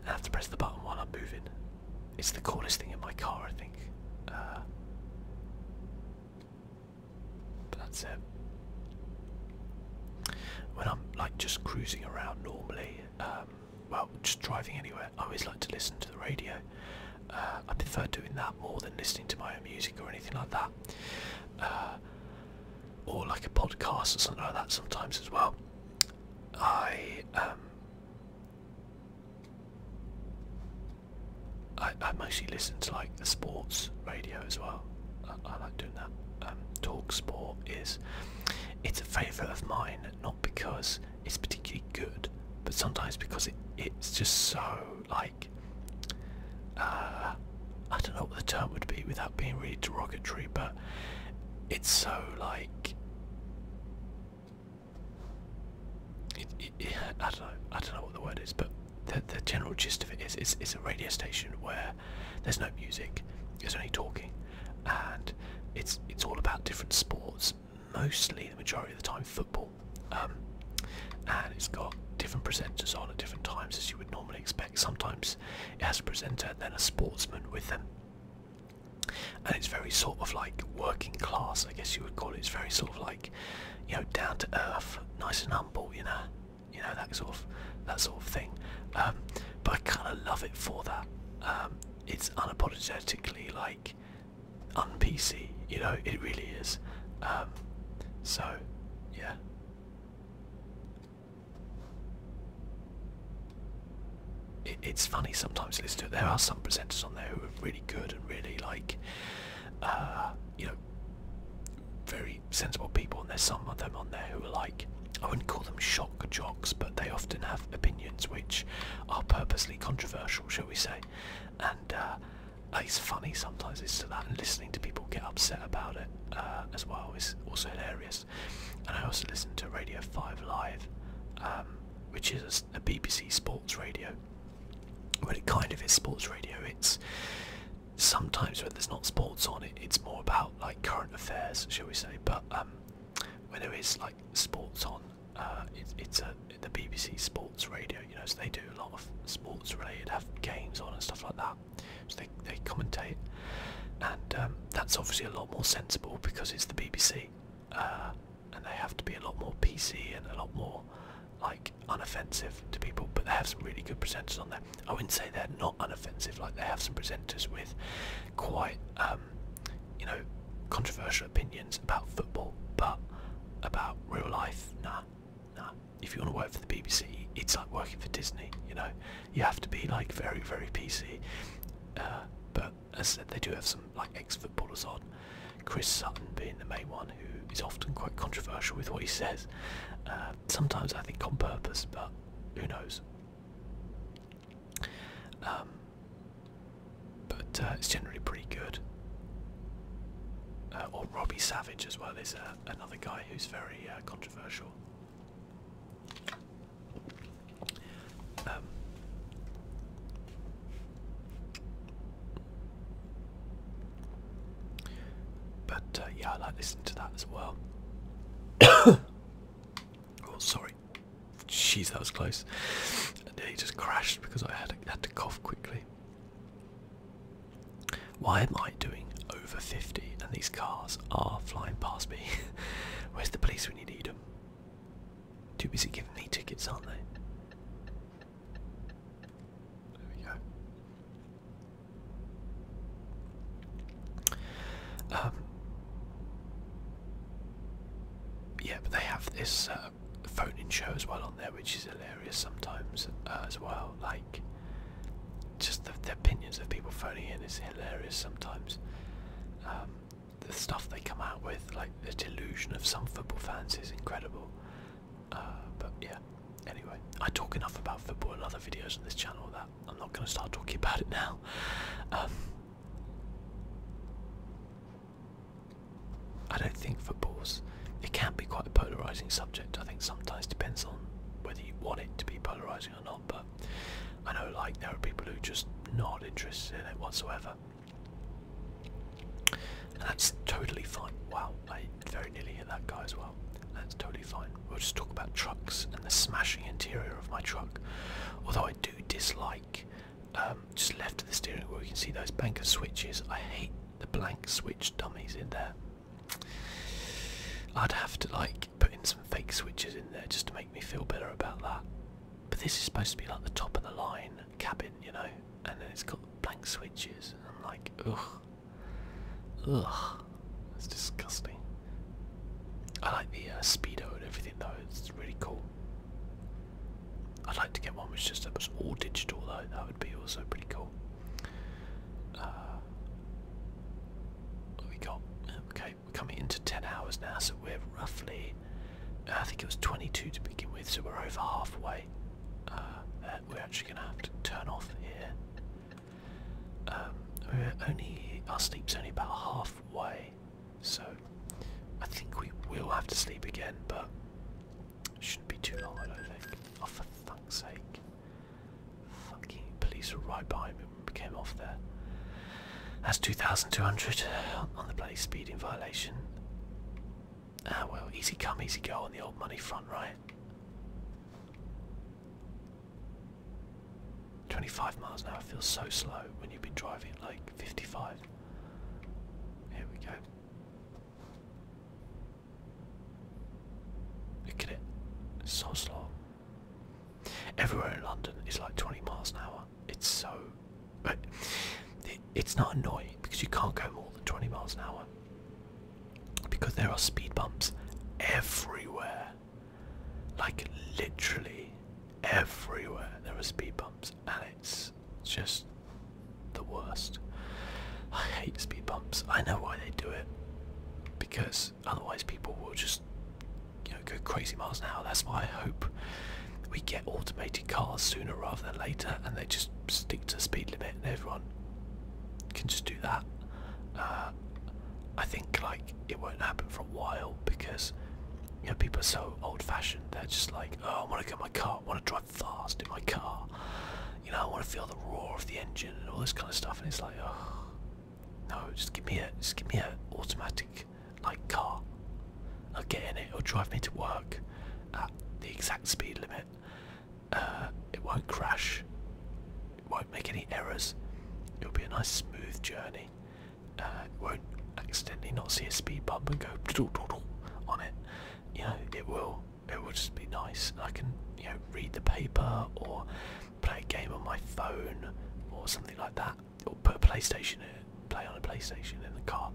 and I have to press the button while I'm moving. It's the coolest thing in my car, I think. but uh, that's it. When I'm like just cruising around normally, um, well, just driving anywhere, I always like to listen to the radio. Uh, I prefer doing that more than listening to my own music or anything like that. Uh, or like a podcast or something like that sometimes as well. I um, I, I mostly listen to like the sports radio as well. I, like doing that. Um, talk Sport is it's a favourite of mine, not because it's particularly good, but sometimes because it it's just so like uh, I don't know what the term would be without being really derogatory, but it's so like I don't know. I don't know what the word is, but the the general gist of it is, it's it's a radio station where there's no music, there's only talking, and it's it's all about different sports, mostly the majority of the time football, um, and it's got different presenters on at different times as you would normally expect. Sometimes it has a presenter and then a sportsman with them, and it's very sort of like working class, I guess you would call it. It's very sort of like, you know, down to earth, nice and humble, you know, you know that sort of that sort of thing. Um, but I kind of love it for that. Um, it's unapologetically like unpc, you know, it really is. Um, so, yeah it's funny sometimes listen to it. There are some presenters on there who are really good and really like, uh, you know, very sensible people, and there's some of them on there who are like, I wouldn't call them shock jocks, but they often have opinions which are purposely controversial, shall we say, and uh, it's funny sometimes to that, and listening to people get upset about it uh, as well is also hilarious. And I also listen to Radio 5 Live. Um, which is a BBC sports radio. Well, it kind of is sports radio. It's sometimes when there's not sports on it's more about like current affairs, shall we say? But um, when there is like sports on, uh, it's a the BBC sports radio. You know, so they do a lot of sports-related, have games on and stuff like that. So they they commentate, and um, that's obviously a lot more sensible because it's the BBC. Uh, and they have to be a lot more PC and a lot more like unoffensive to people. But they have some really good presenters on there. I wouldn't say they're not unoffensive. Like they have some presenters with quite um, you know controversial opinions about football, but about real life, nah, nah. If you want to work for the BBC, it's like working for Disney. You know, you have to be like very, very PC. Uh, but as I said, they do have some like ex-footballers on. Chris Sutton being the main one, who is often quite controversial with what he says. Uh, sometimes I think on purpose, but who knows. Um, but uh, it's generally pretty good. Uh, or Robbie Savage as well is another guy who's very controversial. Um, but uh, yeah, I like listening to that as well. oh, sorry. Jeez, that was close. And he just crashed because I had, had to cough quickly. Why am I doing over 50 and these cars are flying past me? Where's the police when you need them? Too busy giving me tickets, aren't they? There we go. Um, yeah, but they have this uh, phone-in show as well on there, which is hilarious sometimes uh, as well. Like, just the, the opinions of people phoning in is hilarious sometimes. Um, the stuff they come out with, like the delusion of some football fans, is incredible. Uh, but yeah, anyway, I talk enough about football in other videos on this channel that I'm not going to start talking about it now. Um, I don't think football's. It can be quite a polarising subject. I think sometimes depends on whether you want it to be polarising or not. But I know, like, there are people who just not interested in it whatsoever that's totally fine. Wow, I very nearly hit that guy as well. That's totally fine. We'll just talk about trucks and the smashing interior of my truck. Although I do dislike, um, just left of the steering wheel, you can see those bank of switches. I hate the blank switch dummies in there. I'd have to like put in some fake switches in there just to make me feel better about that. But this is supposed to be like the top of the line cabin, you know and then it's got blank switches, and I'm like, ugh, ugh, it's disgusting. I like the uh, speedo and everything though; it's really cool. I'd like to get one which just that was all digital though. That would be also pretty cool. Uh, what we got? Um, okay, we're coming into ten hours now, so we're roughly I think it was 22 to begin with, so we're over halfway. Uh, uh, we're actually going to have to turn off here. Um, we're only our sleep's only about halfway, so I think we will have to sleep again, but it shouldn't be too long. I don't think. Oh, for fuck's sake! Fucking police were right behind me when we came off there. That's 2,200 on the police speeding violation. Ah well, easy come, easy go on the old money front, right? 25 miles an hour feels so slow when you've been driving like 55. Here we go. Look at it. It's so slow. Everywhere in London is like 20 miles an hour. It's so. it's not annoying because you can't go more than 20 miles an hour because there are speed bumps everywhere. Like literally everywhere there are speed bumps, and it's just the worst. I hate speed bumps. I know why they do it because otherwise people will just go crazy miles an hour. That's why I hope we get automated cars sooner rather than later and they just stick to the speed limit and everyone can just do that. Uh, I think like it won't happen for a while because you know people are so old-fashioned. They're just like, oh, I want to get my car. I want to drive fast in my car. You know, I want to feel the roar of the engine and all this kind of stuff. And it's like, oh, no, just give me a, just give me a automatic like car. I'll get in it. It'll drive me to work at the exact speed limit. Uh, it won't crash. It won't make any errors. It'll be a nice smooth journey. Uh, it won't accidentally not see a speed bump and go on it. You know, it will. It will just be nice. I can, you know, read the paper or play a game on my phone or something like that. Or put a PlayStation in, play on a PlayStation in the car.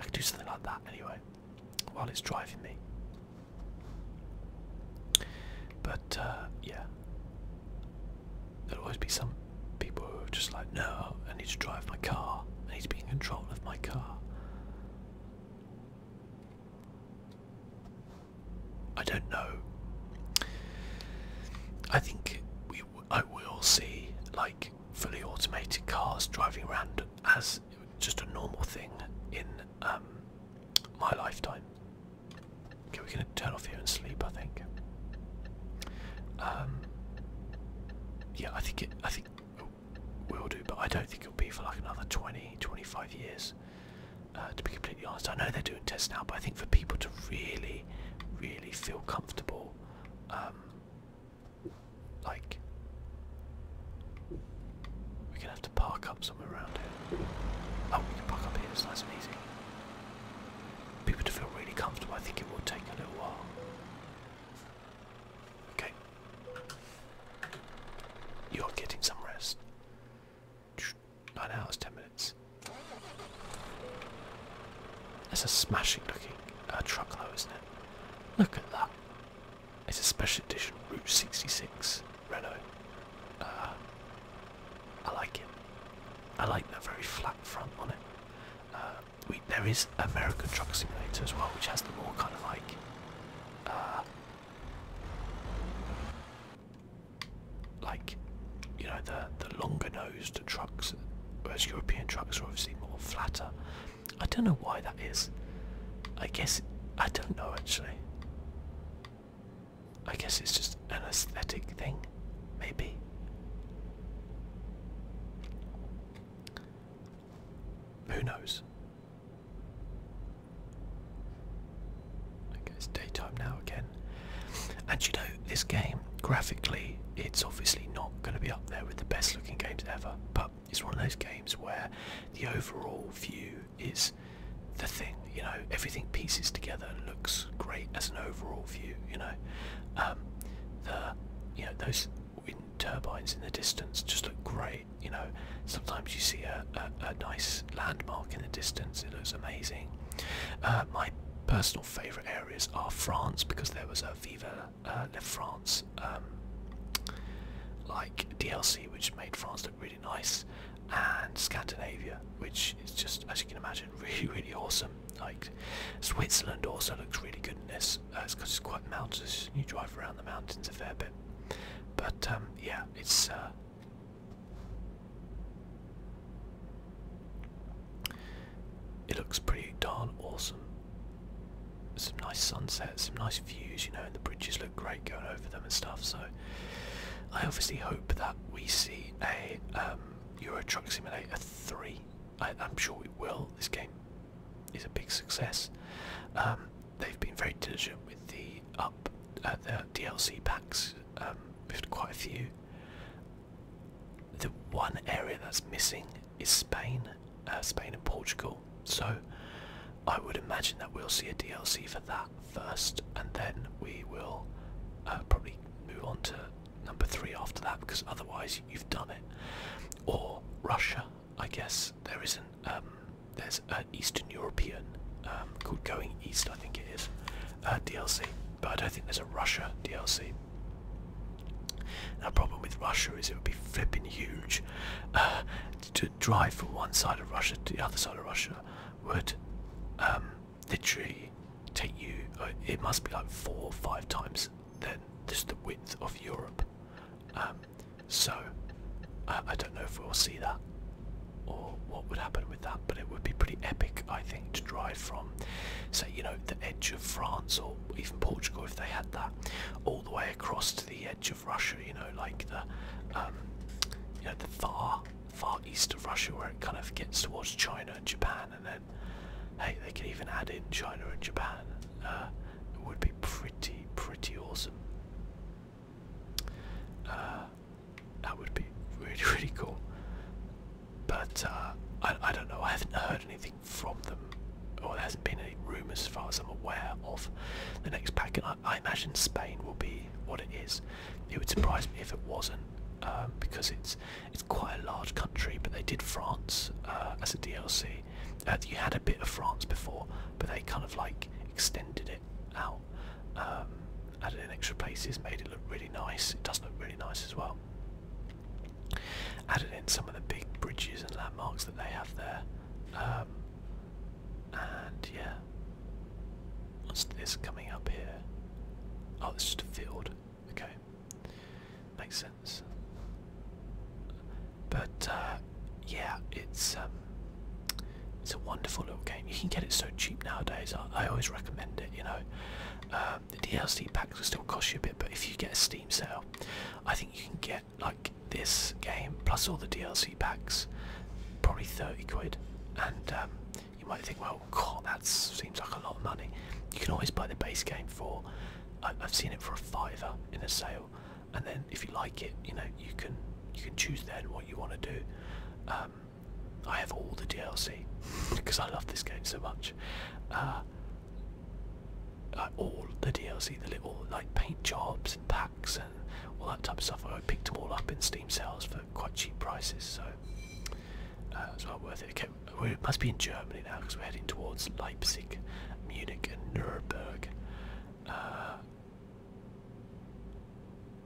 I can do something like that anyway while it's driving me. But uh, yeah, there'll always be some people who are just like, no, I need to drive my car, I need to be in control of my car. I don't know. I think we I will see like fully automated cars driving around as just a normal thing in um, my lifetime. Okay, we're gonna turn off here and sleep. I think. Um, yeah, I think it. I think will do, but I don't think it'll be for like another 20, 25 years. Uh, to be completely honest, I know they're doing tests now, but I think for people to really, really feel comfortable um, like, we're gonna have to park up somewhere around here. Oh, we can park up here, it's nice and easy. People to feel really comfortable, I think it will take a little while. Okay. You're getting some rest. Nine hours, ten minutes. That's a smashing looking uh, truck though, isn't it? Look at that it's a special edition Route 66 Renault. Uh, I like it. I like that very flat front on it. Uh, we, there is American Truck Simulator as well, which has the more kind of like. Uh, like, you know, the the longer nosed trucks, whereas European trucks are obviously more flatter. I don't know why that is. I guess I don't know actually. I guess it's just an aesthetic thing, maybe. Who knows? Okay, it's daytime now again. And you know, this game, graphically, it's obviously not going to be up there with the best looking games ever, but it's one of those games where the overall view is the thing. You know, everything pieces together and looks great as an overall view. You know, um, the you know those wind turbines in the distance just look great. You know, sometimes you see a, a, nice landmark in the distance. It looks amazing. Uh, my personal favourite areas are France because there was a Viva uh, left France um, like DLC, which made France look really nice, and Scandinavia, which is just, as you can imagine, really, really awesome. Like Switzerland also looks really good in this. Uh, because it's quite mountainous. You drive around the mountains a fair bit, but um, yeah, it's. Uh, it looks pretty darn awesome some nice sunsets, some nice views, you know, and the bridges look great going over them and stuff. So I obviously hope that we see a um, Euro Truck Simulator 3. I, am sure it will. This game is a big success. Um, they've been very diligent with the up uh, the DLC packs. We've um, with quite a few. The one area that's missing is Spain, uh, Spain and Portugal. So I would imagine that we'll see a DLC for that first, and then we will uh, probably move on to number three after that because otherwise you've done it. Or Russia, I guess there isn't. Um, there's an Eastern European um, called Going East, I think it is, uh, DLC. But I don't think there's a Russia DLC. The problem with Russia is it would be flipping huge. Uh, to drive from one side of Russia to the other side of Russia would um, literally take you. Uh, it must be like four or five times then just the width of Europe. Um, so I, don't know if we'll see that or what would happen with that, but it would be pretty epic, I think, to drive from, say, you know, the edge of France or even Portugal if they had that, all all the way across to the edge of Russia, you know, like the, um, you know, the far, far east of Russia where it kind of gets towards China and Japan, and then, hey, they could even add in China and Japan. Uh, it would be pretty, pretty awesome. Uh, that would be really, really cool. But uh, I, I don't know. I haven't heard anything from them, or there hasn't been any rumours as far as I'm aware of the next pack, I, imagine Spain will be what it is. It would surprise me if it wasn't, um, because it's it's quite a large country. But they did France uh, as a DLC. Uh, you had a bit of France before, but they kind of like extended it out, um, added in extra places, made it look really nice. It does look really nice as well added in some of the big bridges and landmarks that they have there. Um, and yeah, what's this coming up here? Oh, it's just a field. Okay, makes sense. But uh, yeah, it's um, it's a wonderful little game. You can get it so cheap nowadays. I, always recommend it. You know, um, the DLC packs will still cost you a bit, but if you get a Steam sale, I think you can get like this game plus all the DLC packs, probably 30 quid. And um, you might think, well, God, that seems like a lot of money. You can always buy the base game for, I, have seen it for a fiver in a sale, and then if you like it, you know, you can you can choose then what you want to do. Um, I have all the DLC because I love this game so much. Uh, like all the DLC, the little like paint jobs and packs and all that type of stuff. I picked them all up in Steam sales for quite cheap prices, so uh, it's well worth it. Okay, we must be in Germany now because we're heading towards Leipzig, Munich, and Nuremberg. Uh,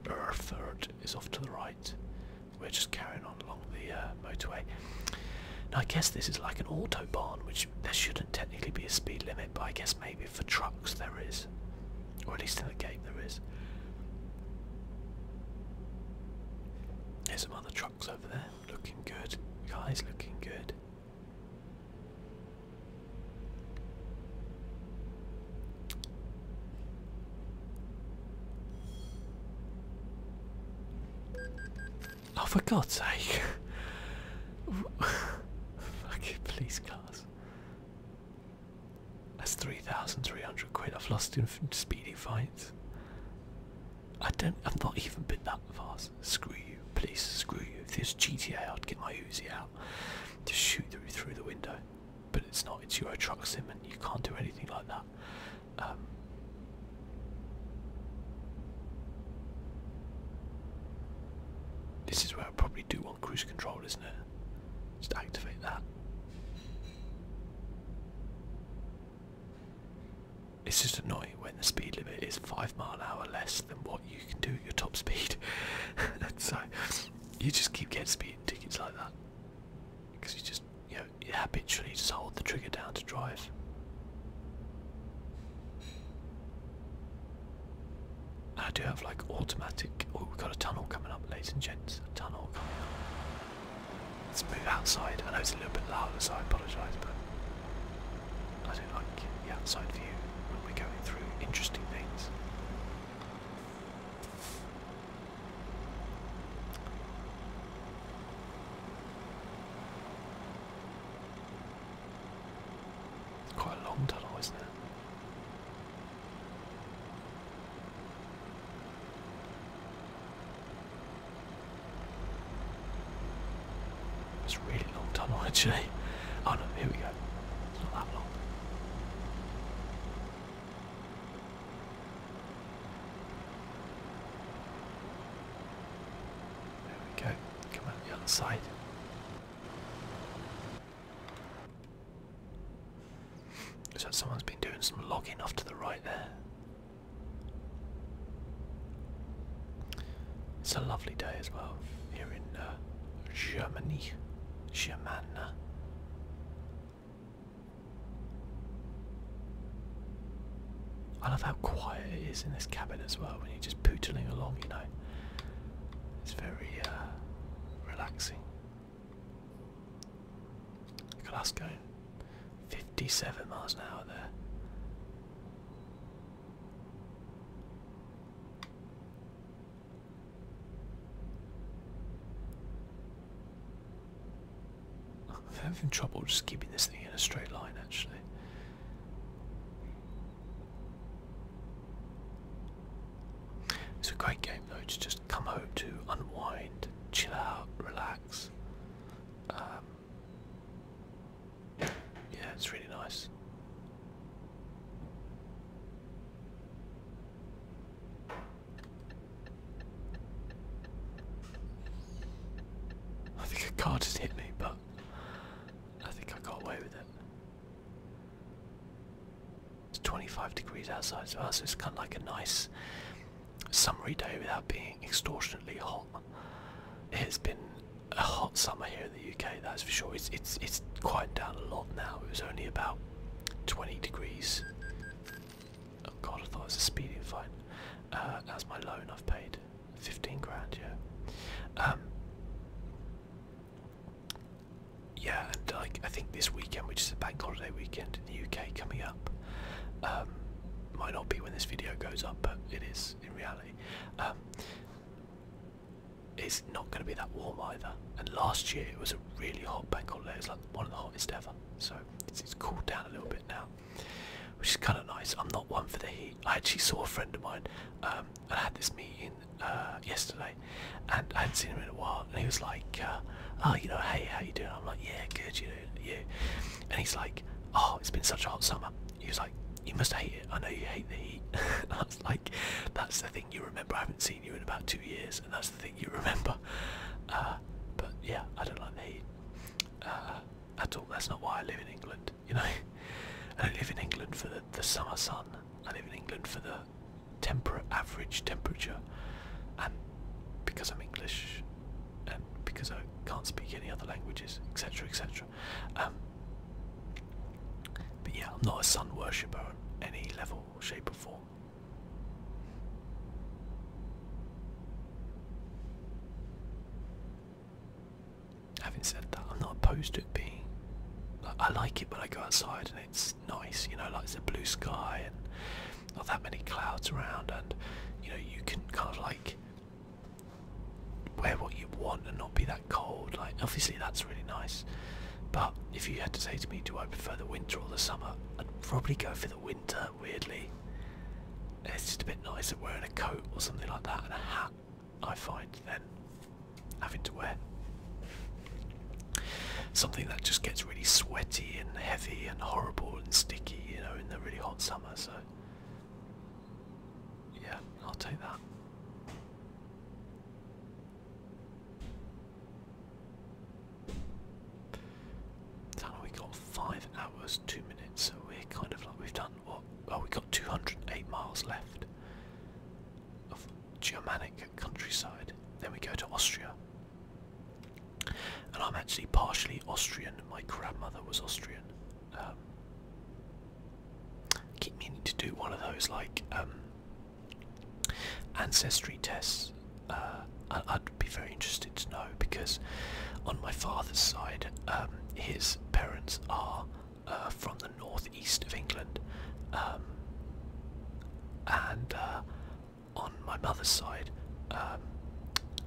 Erfurt is off to the right. We're just carrying on along the uh, motorway. Now I guess this is like an autobahn, which there shouldn't technically be a speed limit, but I guess maybe for trucks there is, or at least in the game there is. There's some other trucks over there, looking good. Guys, looking good. Oh, for God's sake. Fucking police cars. That's 3,300 quid I've lost in speeding fines. I don't, I've not even been that fast. Screw you, please, screw you. If this GTA, I'd get my Uzi out. to shoot through, through the window. But it's not, it's Euro Truck Sim and you can't do anything like that. Um, this is where I probably do want cruise control, isn't it? Just activate that. It's just annoying when the speed limit is five mile hour less than what you can do at your top speed. so you just keep getting speed tickets like that because you just you habitually just hold the trigger down to drive. I do have like automatic. Oh, we've got a tunnel coming up, ladies and gents. A tunnel coming up. Let's move outside. I know it's a little bit loud, so I apologise, but I do like the outside view when we're going through interesting things. It's quite a long tunnel, isn't it? It's really long tunnel actually. Oh no, here we go. It's not that long. There we go. Come on the other side. Looks someone's been doing some logging off to the right there. It's a lovely day as well here in uh, Germany. I love how quiet it is in this cabin as well when you're just pootling along, you know. It's very uh, relaxing. Glasgow, 57 miles an hour there. I'm having trouble just keeping this thing in a straight line actually. It's a great game though to just come home to, unwind, chill out, relax. Um, yeah, it's really nice. I think a car just hit me, but I think I got away with it. It's 25 degrees outside, so it's kind of like a nice summery day without being extortionately hot. It has been a hot summer here in the UK, that's for sure. It's it's it's quieted down a lot now. It was only about 20 degrees. Oh god, I thought it was a speeding fine. Uh, that's my loan I've paid. 15 grand, yeah. Um, yeah, and like I think this weekend, which is a bank holiday weekend in the UK coming up, um, might not be when this video goes up, but it is in reality. Um, it's not going to be that warm either. And last year it was a really hot bank holiday. It was like one of the hottest ever. So it's, cooled down a little bit now, which is kind of nice. I'm not one for the heat. I actually saw a friend of mine. Uh, um, I had this meeting uh, yesterday, and I hadn't seen him in a while, and he was like, uh, "Oh, you know, hey, how you doing?" I'm like, "Yeah, good, you know, you." And he's like, "Oh, it's been such a hot summer." He was like, "You must hate it. I know you hate the heat." I was like, "That's the thing you remember. I haven't seen you in about two years, and that's the thing you remember." Uh, but yeah, I don't like the heat at all. That's not why I live in England you know. I live in England for the, summer sun. I live in England for the temperate average temperature. And because I'm English and because I can't speak any other languages, etc. etc. Um, but yeah, I'm not a sun worshipper on any level, shape or form. Having said that, I'm not opposed to it being. I like it when I go outside and it's nice, you know, like it's a blue sky and not that many clouds around, and you know, you can kind of like wear what you want and not be that cold. Like, obviously, that's really nice. But if you had to say to me, do I prefer the winter or the summer? I'd probably go for the winter, weirdly. It's just a bit nicer wearing a coat or something like that and a hat. I find then having to wear something that just gets really sweaty and heavy and horrible and sticky, you know, in the really hot summer. So yeah, I'll take that. Now we got five hours, two minutes, so we're kind of like we've done done what? Oh, we got 208 miles left of Germanic countryside. Then we go to Austria. And I'm actually partially Austrian. My grandmother was Austrian. I um, keep meaning to do one of those like um, ancestry tests. Uh, I'd be very interested to know because on my father's side, um, his parents are uh, from the northeast of England, um, and uh, on my mother's side, um,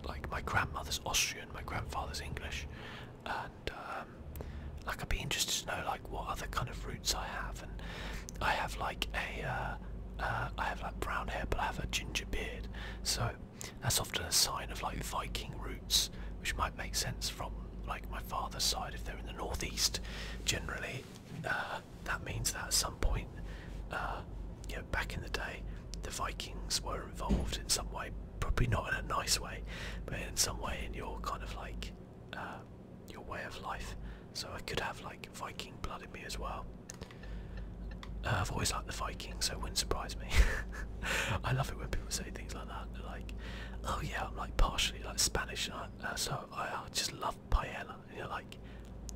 like my grandmother's Austrian, my grandfather's English, and um, like I'd be interested to know like what other kind of roots I have, and I have like a, uh, I have like brown hair, but I have a ginger beard, so that's often a sign of like Viking roots which might make sense from like my father's side if they're in the northeast. Generally, uh, that means that at some point, uh, back in the day, the Vikings were involved in some way. Probably not in a nice way, but in some way in your kind of like uh, your way of life. So I could have like Viking blood in me as well. Uh, I've always liked the Vikings, so it wouldn't surprise me. I love it when people say things like that. Like, oh yeah, I'm like partially like Spanish, uh, so I, just love paella. And you're like,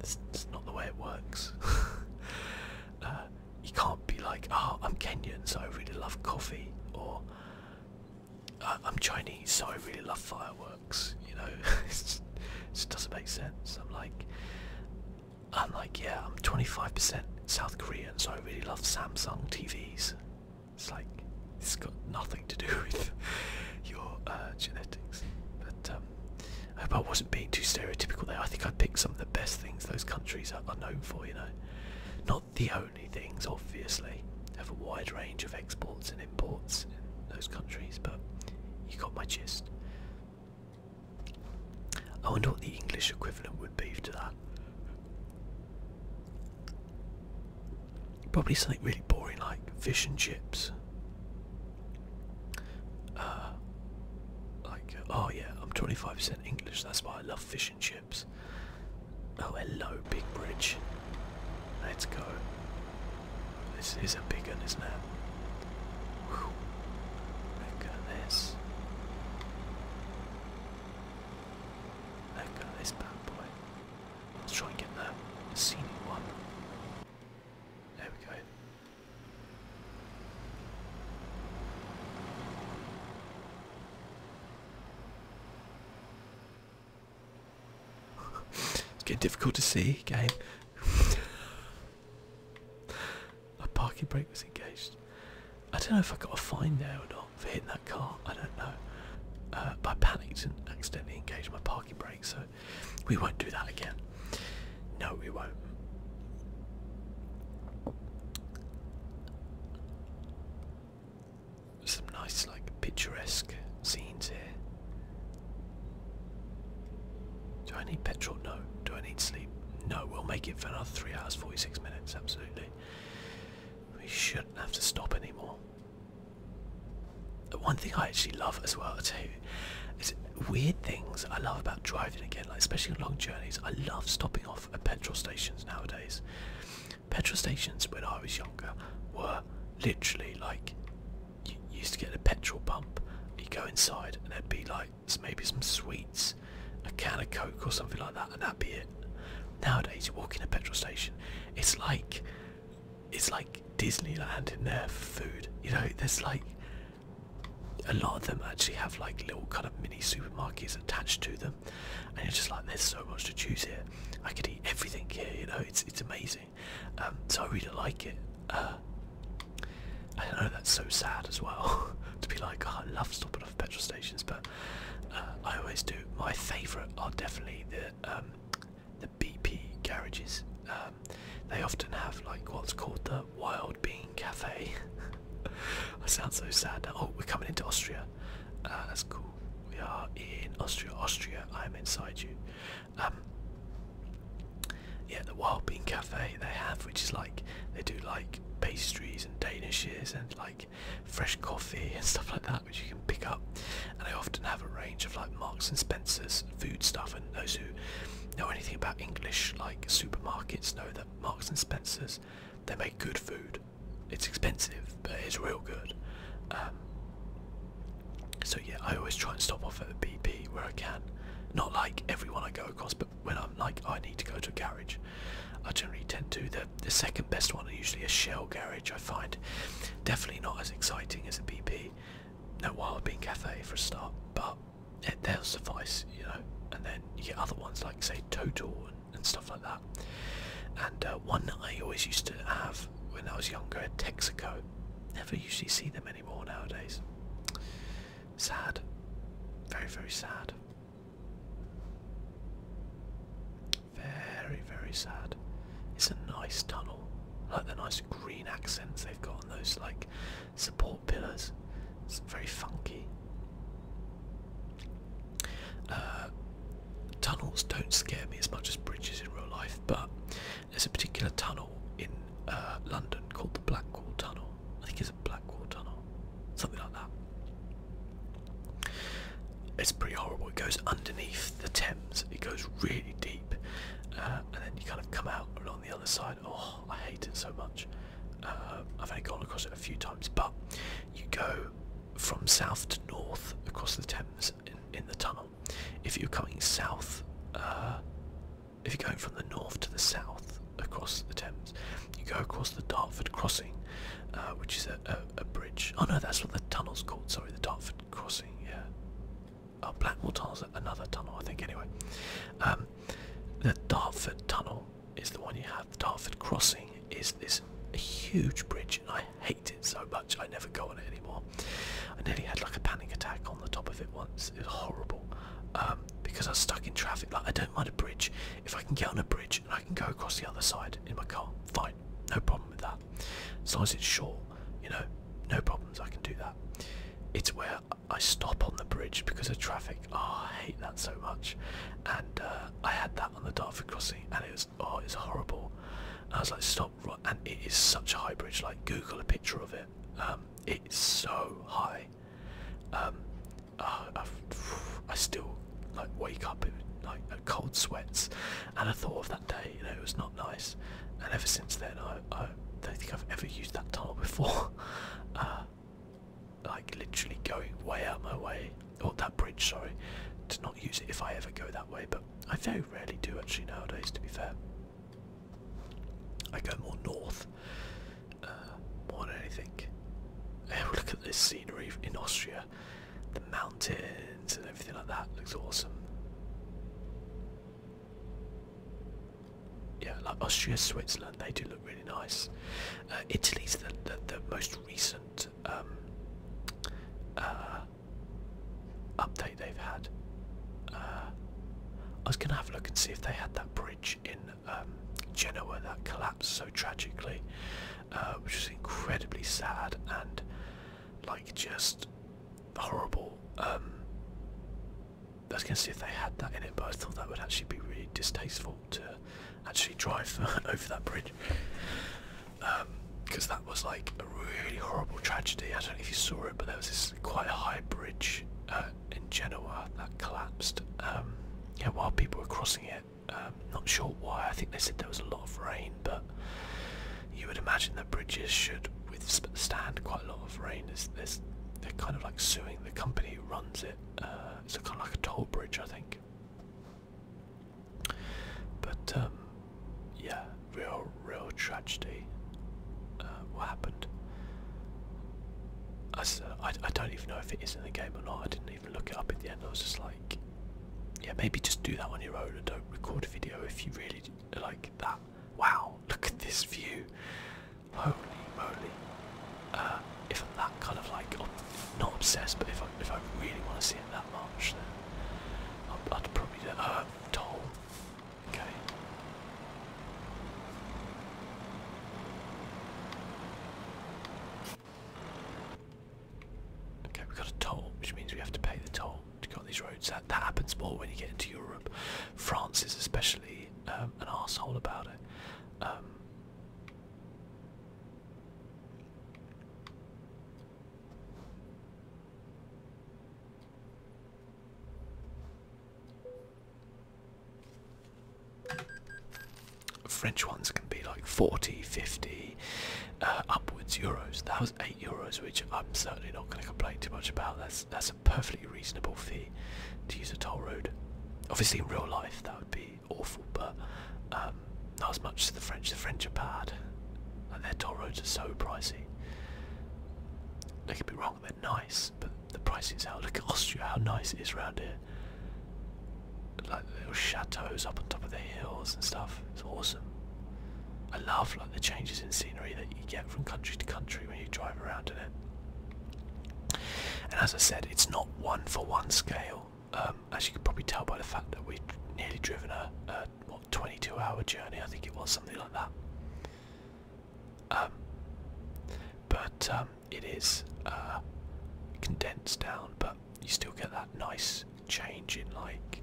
it's, it's not the way it works. Uh, you can't be like, oh, I'm Kenyan, so I really love coffee, or uh, I'm Chinese, so I really love fireworks. You know, it just doesn't make sense. I'm like, I'm like, yeah, I'm 25% South Korean, so I really love Samsung TVs. It's like it's got nothing to do with your uh, genetics. But um, I hope I wasn't being too stereotypical there. I think I picked some of the best things those countries are, are known for. You know, not the only things, obviously. Have a wide range of exports and imports in those countries, but you got my gist. I wonder what the English equivalent would be to that. Probably something really boring like fish and chips. Uh, like, uh, oh yeah, I'm 25% English, that's why I love fish and chips. Oh, hello, Big Bridge. Let's go. This is a big one, isn't it? Look at this. Look at this bad boy. Let's try and get the scenic one. There we go. it's getting difficult to see, game. A parking brake was engaged. I don't know if I got a fine there or not for hitting that car. I don't know. Uh, but I panicked and accidentally engaged my parking brake, so we won't do that again. No, we won't. Some nice, like, picturesque scenes here. Do I need petrol? No. Do I need sleep? No. We'll make it for another 3 hours 46 minutes, absolutely. We shouldn't have to stop anymore. One thing I actually love as well too is weird things I love about driving again, like especially on long journeys. I love stopping off at petrol stations nowadays. Petrol stations when I was younger were literally like you used to get a petrol pump, you go inside and there'd be like maybe some sweets, a can of coke or something like that, and that'd be it. Nowadays, you walk in a petrol station, it's like it's like Disneyland in there for food. You know, there's like a lot of them actually have like little kind of mini supermarkets attached to them, and you're just like, there's so much to choose here. I could eat everything here. You know, it's it's amazing. Um, so I really like it. Uh, I know that's so sad as well to be like, oh, I love stop petrol stations, but uh, I always do. My favourite are definitely the um, the BP garages. Um, they often have like what's called the Wild Bean Cafe. That sounds so sad. Oh, we're coming into Austria. Uh, that's cool. We are in Austria. Austria, I am inside you. Um, yeah, the Wild Bean Cafe they have, which is like they do like pastries and danishes and like fresh coffee and stuff like that which you can pick up and I often have a range of like Marks and Spencer's food stuff and those who know anything about English like supermarkets know that Marks and Spencer's they make good food it's expensive but it's real good um, so yeah I always try and stop off at a BP where I can not like everyone I go across but when I'm like I need to go to a garage I generally tend to. The, the second best one are usually a shell garage, I find. Definitely not as exciting as a BP. No Wild Bean Cafe for a start, but they'll suffice, you know. And then other ones like, say, Total and, stuff like that. And uh, one that I always used to have when I was younger, Texaco. Never usually see them anymore nowadays. Sad. Very, very sad. Very, very sad. It's a nice tunnel. I like the nice green accents they've got on those like support pillars. It's very funky. Uh, tunnels don't scare me as much as bridges in real life, but there's a particular tunnel in uh, London called the Blackwall Tunnel. I think it's a Blackwall Tunnel, something like that. It's pretty horrible. It goes underneath the Thames. It goes really deep, uh, and then you kind of come out along the other side. Oh, I hate it so much. Uh, I've only gone across it a few times, but you go from south to north across the Thames in, the tunnel. If you're coming south, uh, if you're going from the north to the south across the Thames, you go across the Dartford Crossing, which is a, a, bridge. Oh no, that's what the tunnel's called. Sorry, the Dartford Crossing. Yeah. Oh, Blackmore Tunnel's another tunnel, I think. Anyway, um, the Dartford Tunnel is the one you have. The Dartford Crossing is this huge bridge, and I hate it so much. I never go on it anymore. I nearly had like a panic attack on the top of it once. It was horrible. Um, because I am stuck in traffic. Like I don't mind a bridge. If I can get on a bridge and I can go across the other side in my car, fine no problem with that. As long as it's short, you know, no problems, I can do that. It's where I stop on the bridge because of traffic. Oh, I hate that so much. And uh, I had that on the Dartford crossing, and it was oh, it's horrible. I was like, stop, right. and it is such a high bridge. Like, Google a picture of it. Um, it's so high. Um, I still like wake up in like cold sweats and I thought of that day, you know, it was not nice. And ever since then, I, don't think I've ever used that tunnel before. Uh, like literally going way out my way, or that bridge, sorry, to not use it if I ever go that way. But I very rarely do actually nowadays. To be fair, I go more north, uh, more than anything. Look at this scenery in Austria the mountains and everything like that looks awesome. Yeah, like Austria, Switzerland, they do look really nice. Uh, Italy's the, the, most recent um, uh, update they've had. Uh, I was going to have a look and see if they had that bridge in um, Genoa that collapsed so tragically. Uh, which is incredibly sad and like just horrible. Um, I was going to see if they had that in it, but I thought that would actually be really distasteful to actually drive over that bridge. Because um, that was like a really horrible tragedy. I don't know if you saw it, but there was this quite high bridge uh, in Genoa that collapsed um, while people were crossing it it. Um, not sure why. I think they said there was a lot of rain, but you would imagine that bridges should withstand quite a lot of rain. There's, they're kind of like suing the company who runs it. Uh, it's a kind of like a toll bridge, I think. But um, yeah, real, real tragedy. Uh, what happened? I, I, don't even know if it is in the game or not even look it up in the end. I was just like, yeah, maybe just do that on your own and don't record a video if you really like that. Wow, look at this view. Holy moly. Uh, if I'm that kind of like, not obsessed, but if I, if I really want to see it that much, then I'd, probably do a toll. Uh, okay. Okay, we've got a toll, which means we have to pay the toll to go on these roads. That, that happens more when you get into Europe. France is especially um, an asshole about it. Um, French ones can be like 40, 50, uh, upwards euros. That was eight euros, which I'm certainly not going to complain too much about. That's that's a perfectly reasonable fee to use a toll road. Obviously, in real life, that would be awful, but um, not as much as the French. The French are bad. Like their toll roads are so pricey. They could be wrong. They're nice, but the prices. out. Look at Austria, how nice it is round here. Like little chateaus up on top of the hills and stuff. It's awesome. I love like the changes in scenery that you get from country to country when you drive around in it. And as I said, it's not one for one scale. Um, as you can probably tell by the fact that we've nearly driven a, what 22 hour journey, I think it was something like that. Um, but um, it is uh, condensed down, but you still get that nice change in like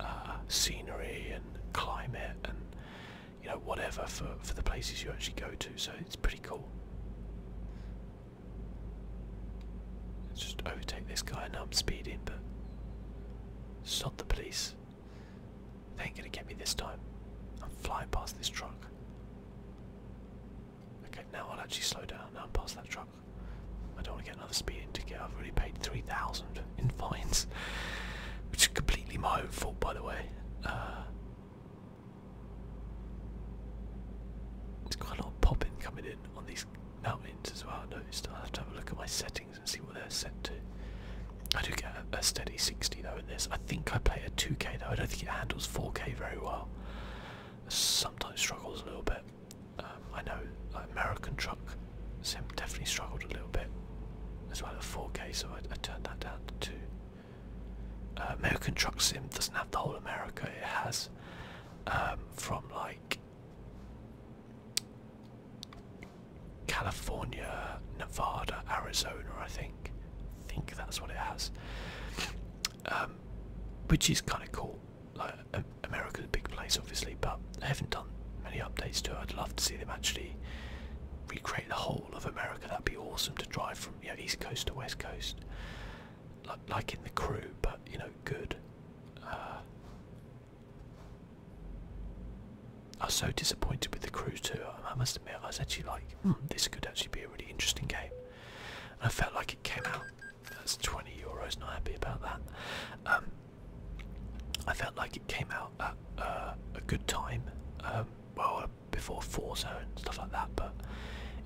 uh, scenery and climate and you know whatever for for the places you actually go to. So it's pretty cool. Let's just overtake this guy. Now I'm speeding, but it's the police. They ain't gonna get me this time. I'm flying past this truck. Okay, now I'll actually slow down. Now I'm past that truck. I don't want to get another speeding ticket. I've already paid 3,000 in fines, which is completely my own fault, by the way. Uh, it's got a lot of popping coming in on these mountains as well. I noticed. I have to have a look at my settings and see what they're set to. I do get a, a steady 60 though in this. I think I play at 2k though. I don't think it handles 4k very well. Sometimes struggles a little bit. Um, I know American Truck Sim definitely struggled a little bit as well at 4K, so I, turned that down to uh, American Truck Sim doesn't have the whole America, it has um, from like California, Nevada, Arizona, I think. I think that's what it has. Um, which is kind of cool. America's a big place, obviously, but I haven't done many updates to it. I'd love to see them actually recreate the whole of America. That'd be awesome to drive from East Coast to West Coast, like, in the crew, but you know, good. Uh, I was so disappointed with the crew too. I must admit, I was actually like, hmm, this could actually be a really interesting game. I felt like it came out that's 20 euros. Not happy about that. Um, I felt like it came out at uh, a good time. Um, well, before Forza and stuff like that, but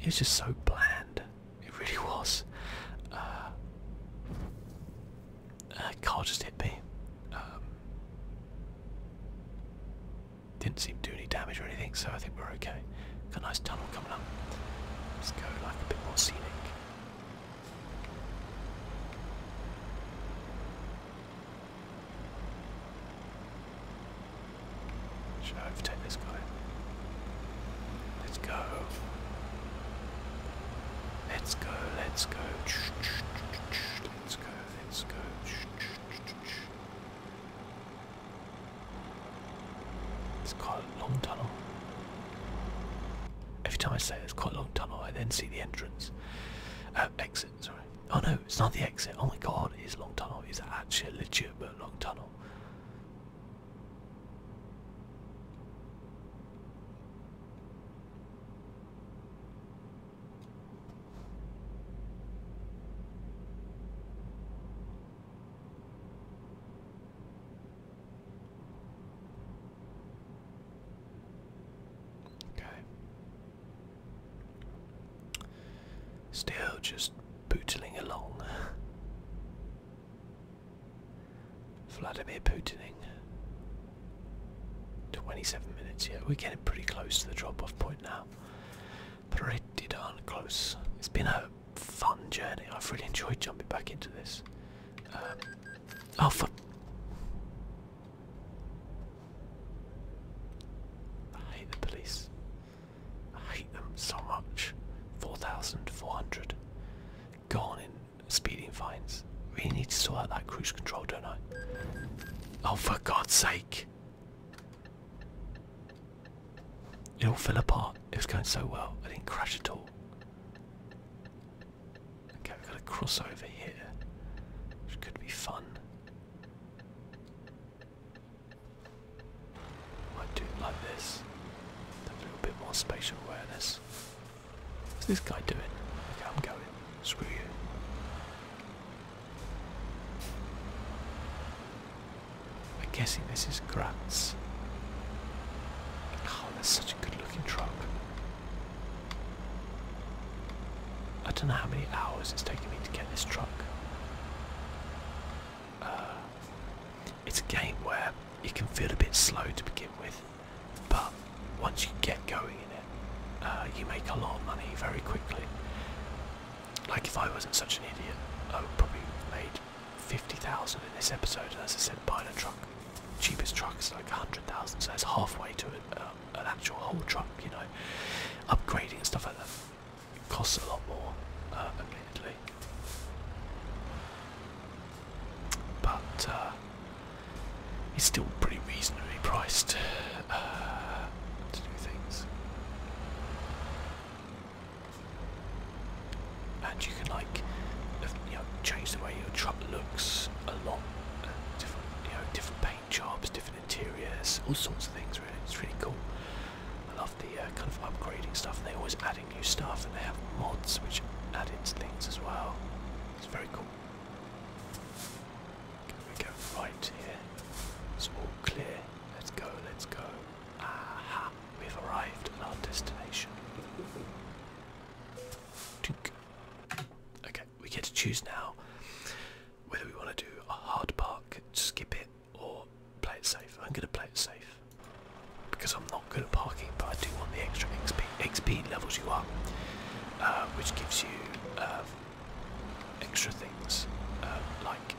it was just so bland. It really was. Uh, uh, car just hit me. Um, didn't seem to do any damage or anything, so I think we're okay. Got a nice tunnel coming up. Let's go like a bit more scenic. Should I overtake this guy? Let's go. Let's go, let's go. Let's go, let's go. It's quite a long tunnel. Every time I say it's quite a long tunnel. I then see the entrance. Uh, exit, sorry. Oh no, it's not the exit. Oh my god, it is long tunnel. It's actually a legitimate long tunnel. Okay. Still just bootling along. Vladimir Putining. 27 minutes, yeah, we're getting pretty close to the drop-off point now. Pretty darn close. It's been a fun journey. I've really enjoyed jumping back into this oh fuck. I hate the police. I hate them so much. 4,400. Gone in speeding fines. We need to sort out that cruise control, don't I? Oh, for God's sake. It all fell apart. It was going so well. I didn't crash at all. Okay, we've got a crossover here, which could be fun. Might do it like this. Have a little bit more spatial awareness. What's this guy doing? Okay, I'm going. Screw you. I'm guessing this is Gratz. Oh, that's such a good looking truck. I don't know how many hours it's taken me to get this truck. Uh, it's a game where it can feel a bit slow to begin with, but once you get going in it, uh, you make a lot of money very quickly. Like if I wasn't such an idiot, I would probably have made 50,000 in this episode, as I said, buying truck cheapest truck is like 100,000, so it's halfway to uh, an, actual whole truck, you know. Upgrading and stuff like that costs a lot more, uh, admittedly. But uh, it's still pretty reasonably priced to do things and you can like you know change the way your truck looks a lot. different, you know, different paint jobs, different interiors, all sorts of things. Really, it's really cool. I love the uh, kind of upgrading stuff. they're always adding new stuff, and they have mods which add into things as well. It's very cool. we go right here. It's all clear. Let's go. Let's go. Aha! We've arrived at our destination. Okay, we get to choose now whether we want to do a hard park, skip it, or play it safe. I'm going to play it safe because I'm not good at parking, but I do want the extra XP. XP levels you up, uh, which gives you um, extra things um, like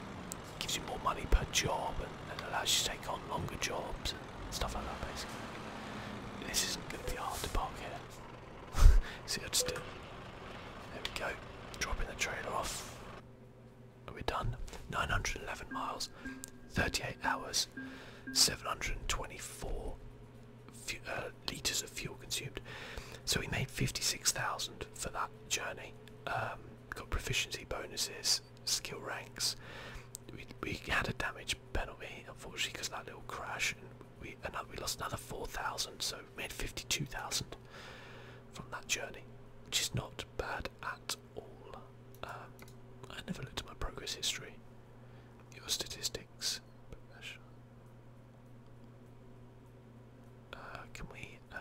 gives you more money per job and allows you to take on longer jobs stuff like that basically. This isn't going to be hard to park here. See, I just did. There we go. Dropping the trailer off. we Are done? 911 miles, 38 hours, 724 uh, litres of fuel consumed. So we made 56,000 for that journey. Um, got proficiency bonuses, skill ranks, we, we had a damage penalty unfortunately because that little crash we and we lost another 4,000 so we made 52,000 from that journey which is not bad at all um, I never looked at my progress history your statistics uh, can we uh,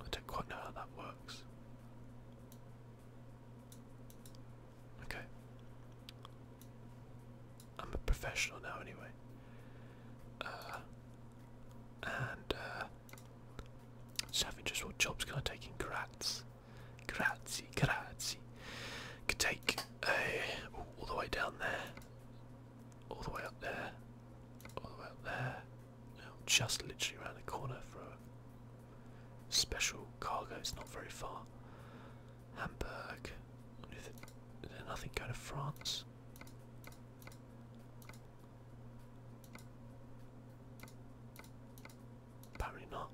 I don't quite know how that works. Okay. I'm a professional now, anyway. Uh, and uh, having just what jobs can I take in Graz? Grazie, grazie. Could take a ooh, all the way down there all the way up there, all the way up there. just literally around the corner for a special cargo. It's not very far. Hamburg. nothing going to France? Apparently not.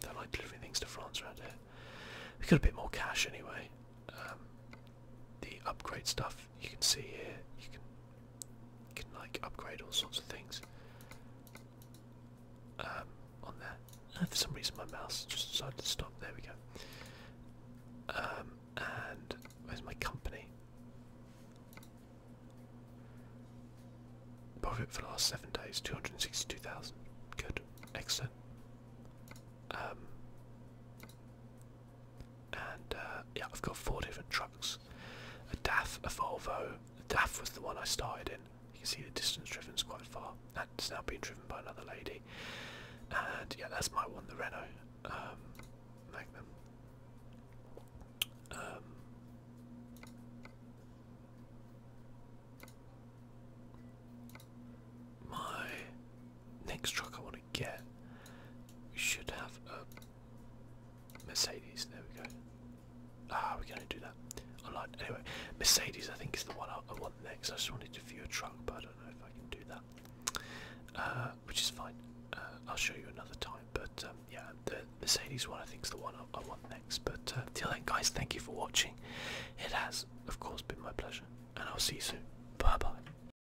They not like delivering things to France around here. We got a bit more cash anyway. Um, the upgrade stuff you can see here. You can can like upgrade all sorts of things um, on there. Uh, for some reason my mouse just decided to stop. There we go. Um, and where's my company? Profit for last seven days, two hundred and sixty-two thousand. Good, excellent. Um, and uh, yeah, I've got four different trucks. A DAF, a Volvo. The DAF was the one I started in. You can see the distance driven is quite far. That's now being driven by another lady. And yeah, that's my one, the Renault um, Magnum. Um, my next truck I want to want We should have a Mercedes. There we go. Ah, we're going to do that online. Anyway, Mercedes, I think, is the one I, want next. I just wanted to view a truck, but I don't know if I can do that, uh, which is fine. Uh, I'll show you another time. But um, yeah, the Mercedes one, I think, is the one I, want next. But uh, till then, guys, thank you for watching. It has, of course, been my pleasure, and I'll see you soon. Bye bye.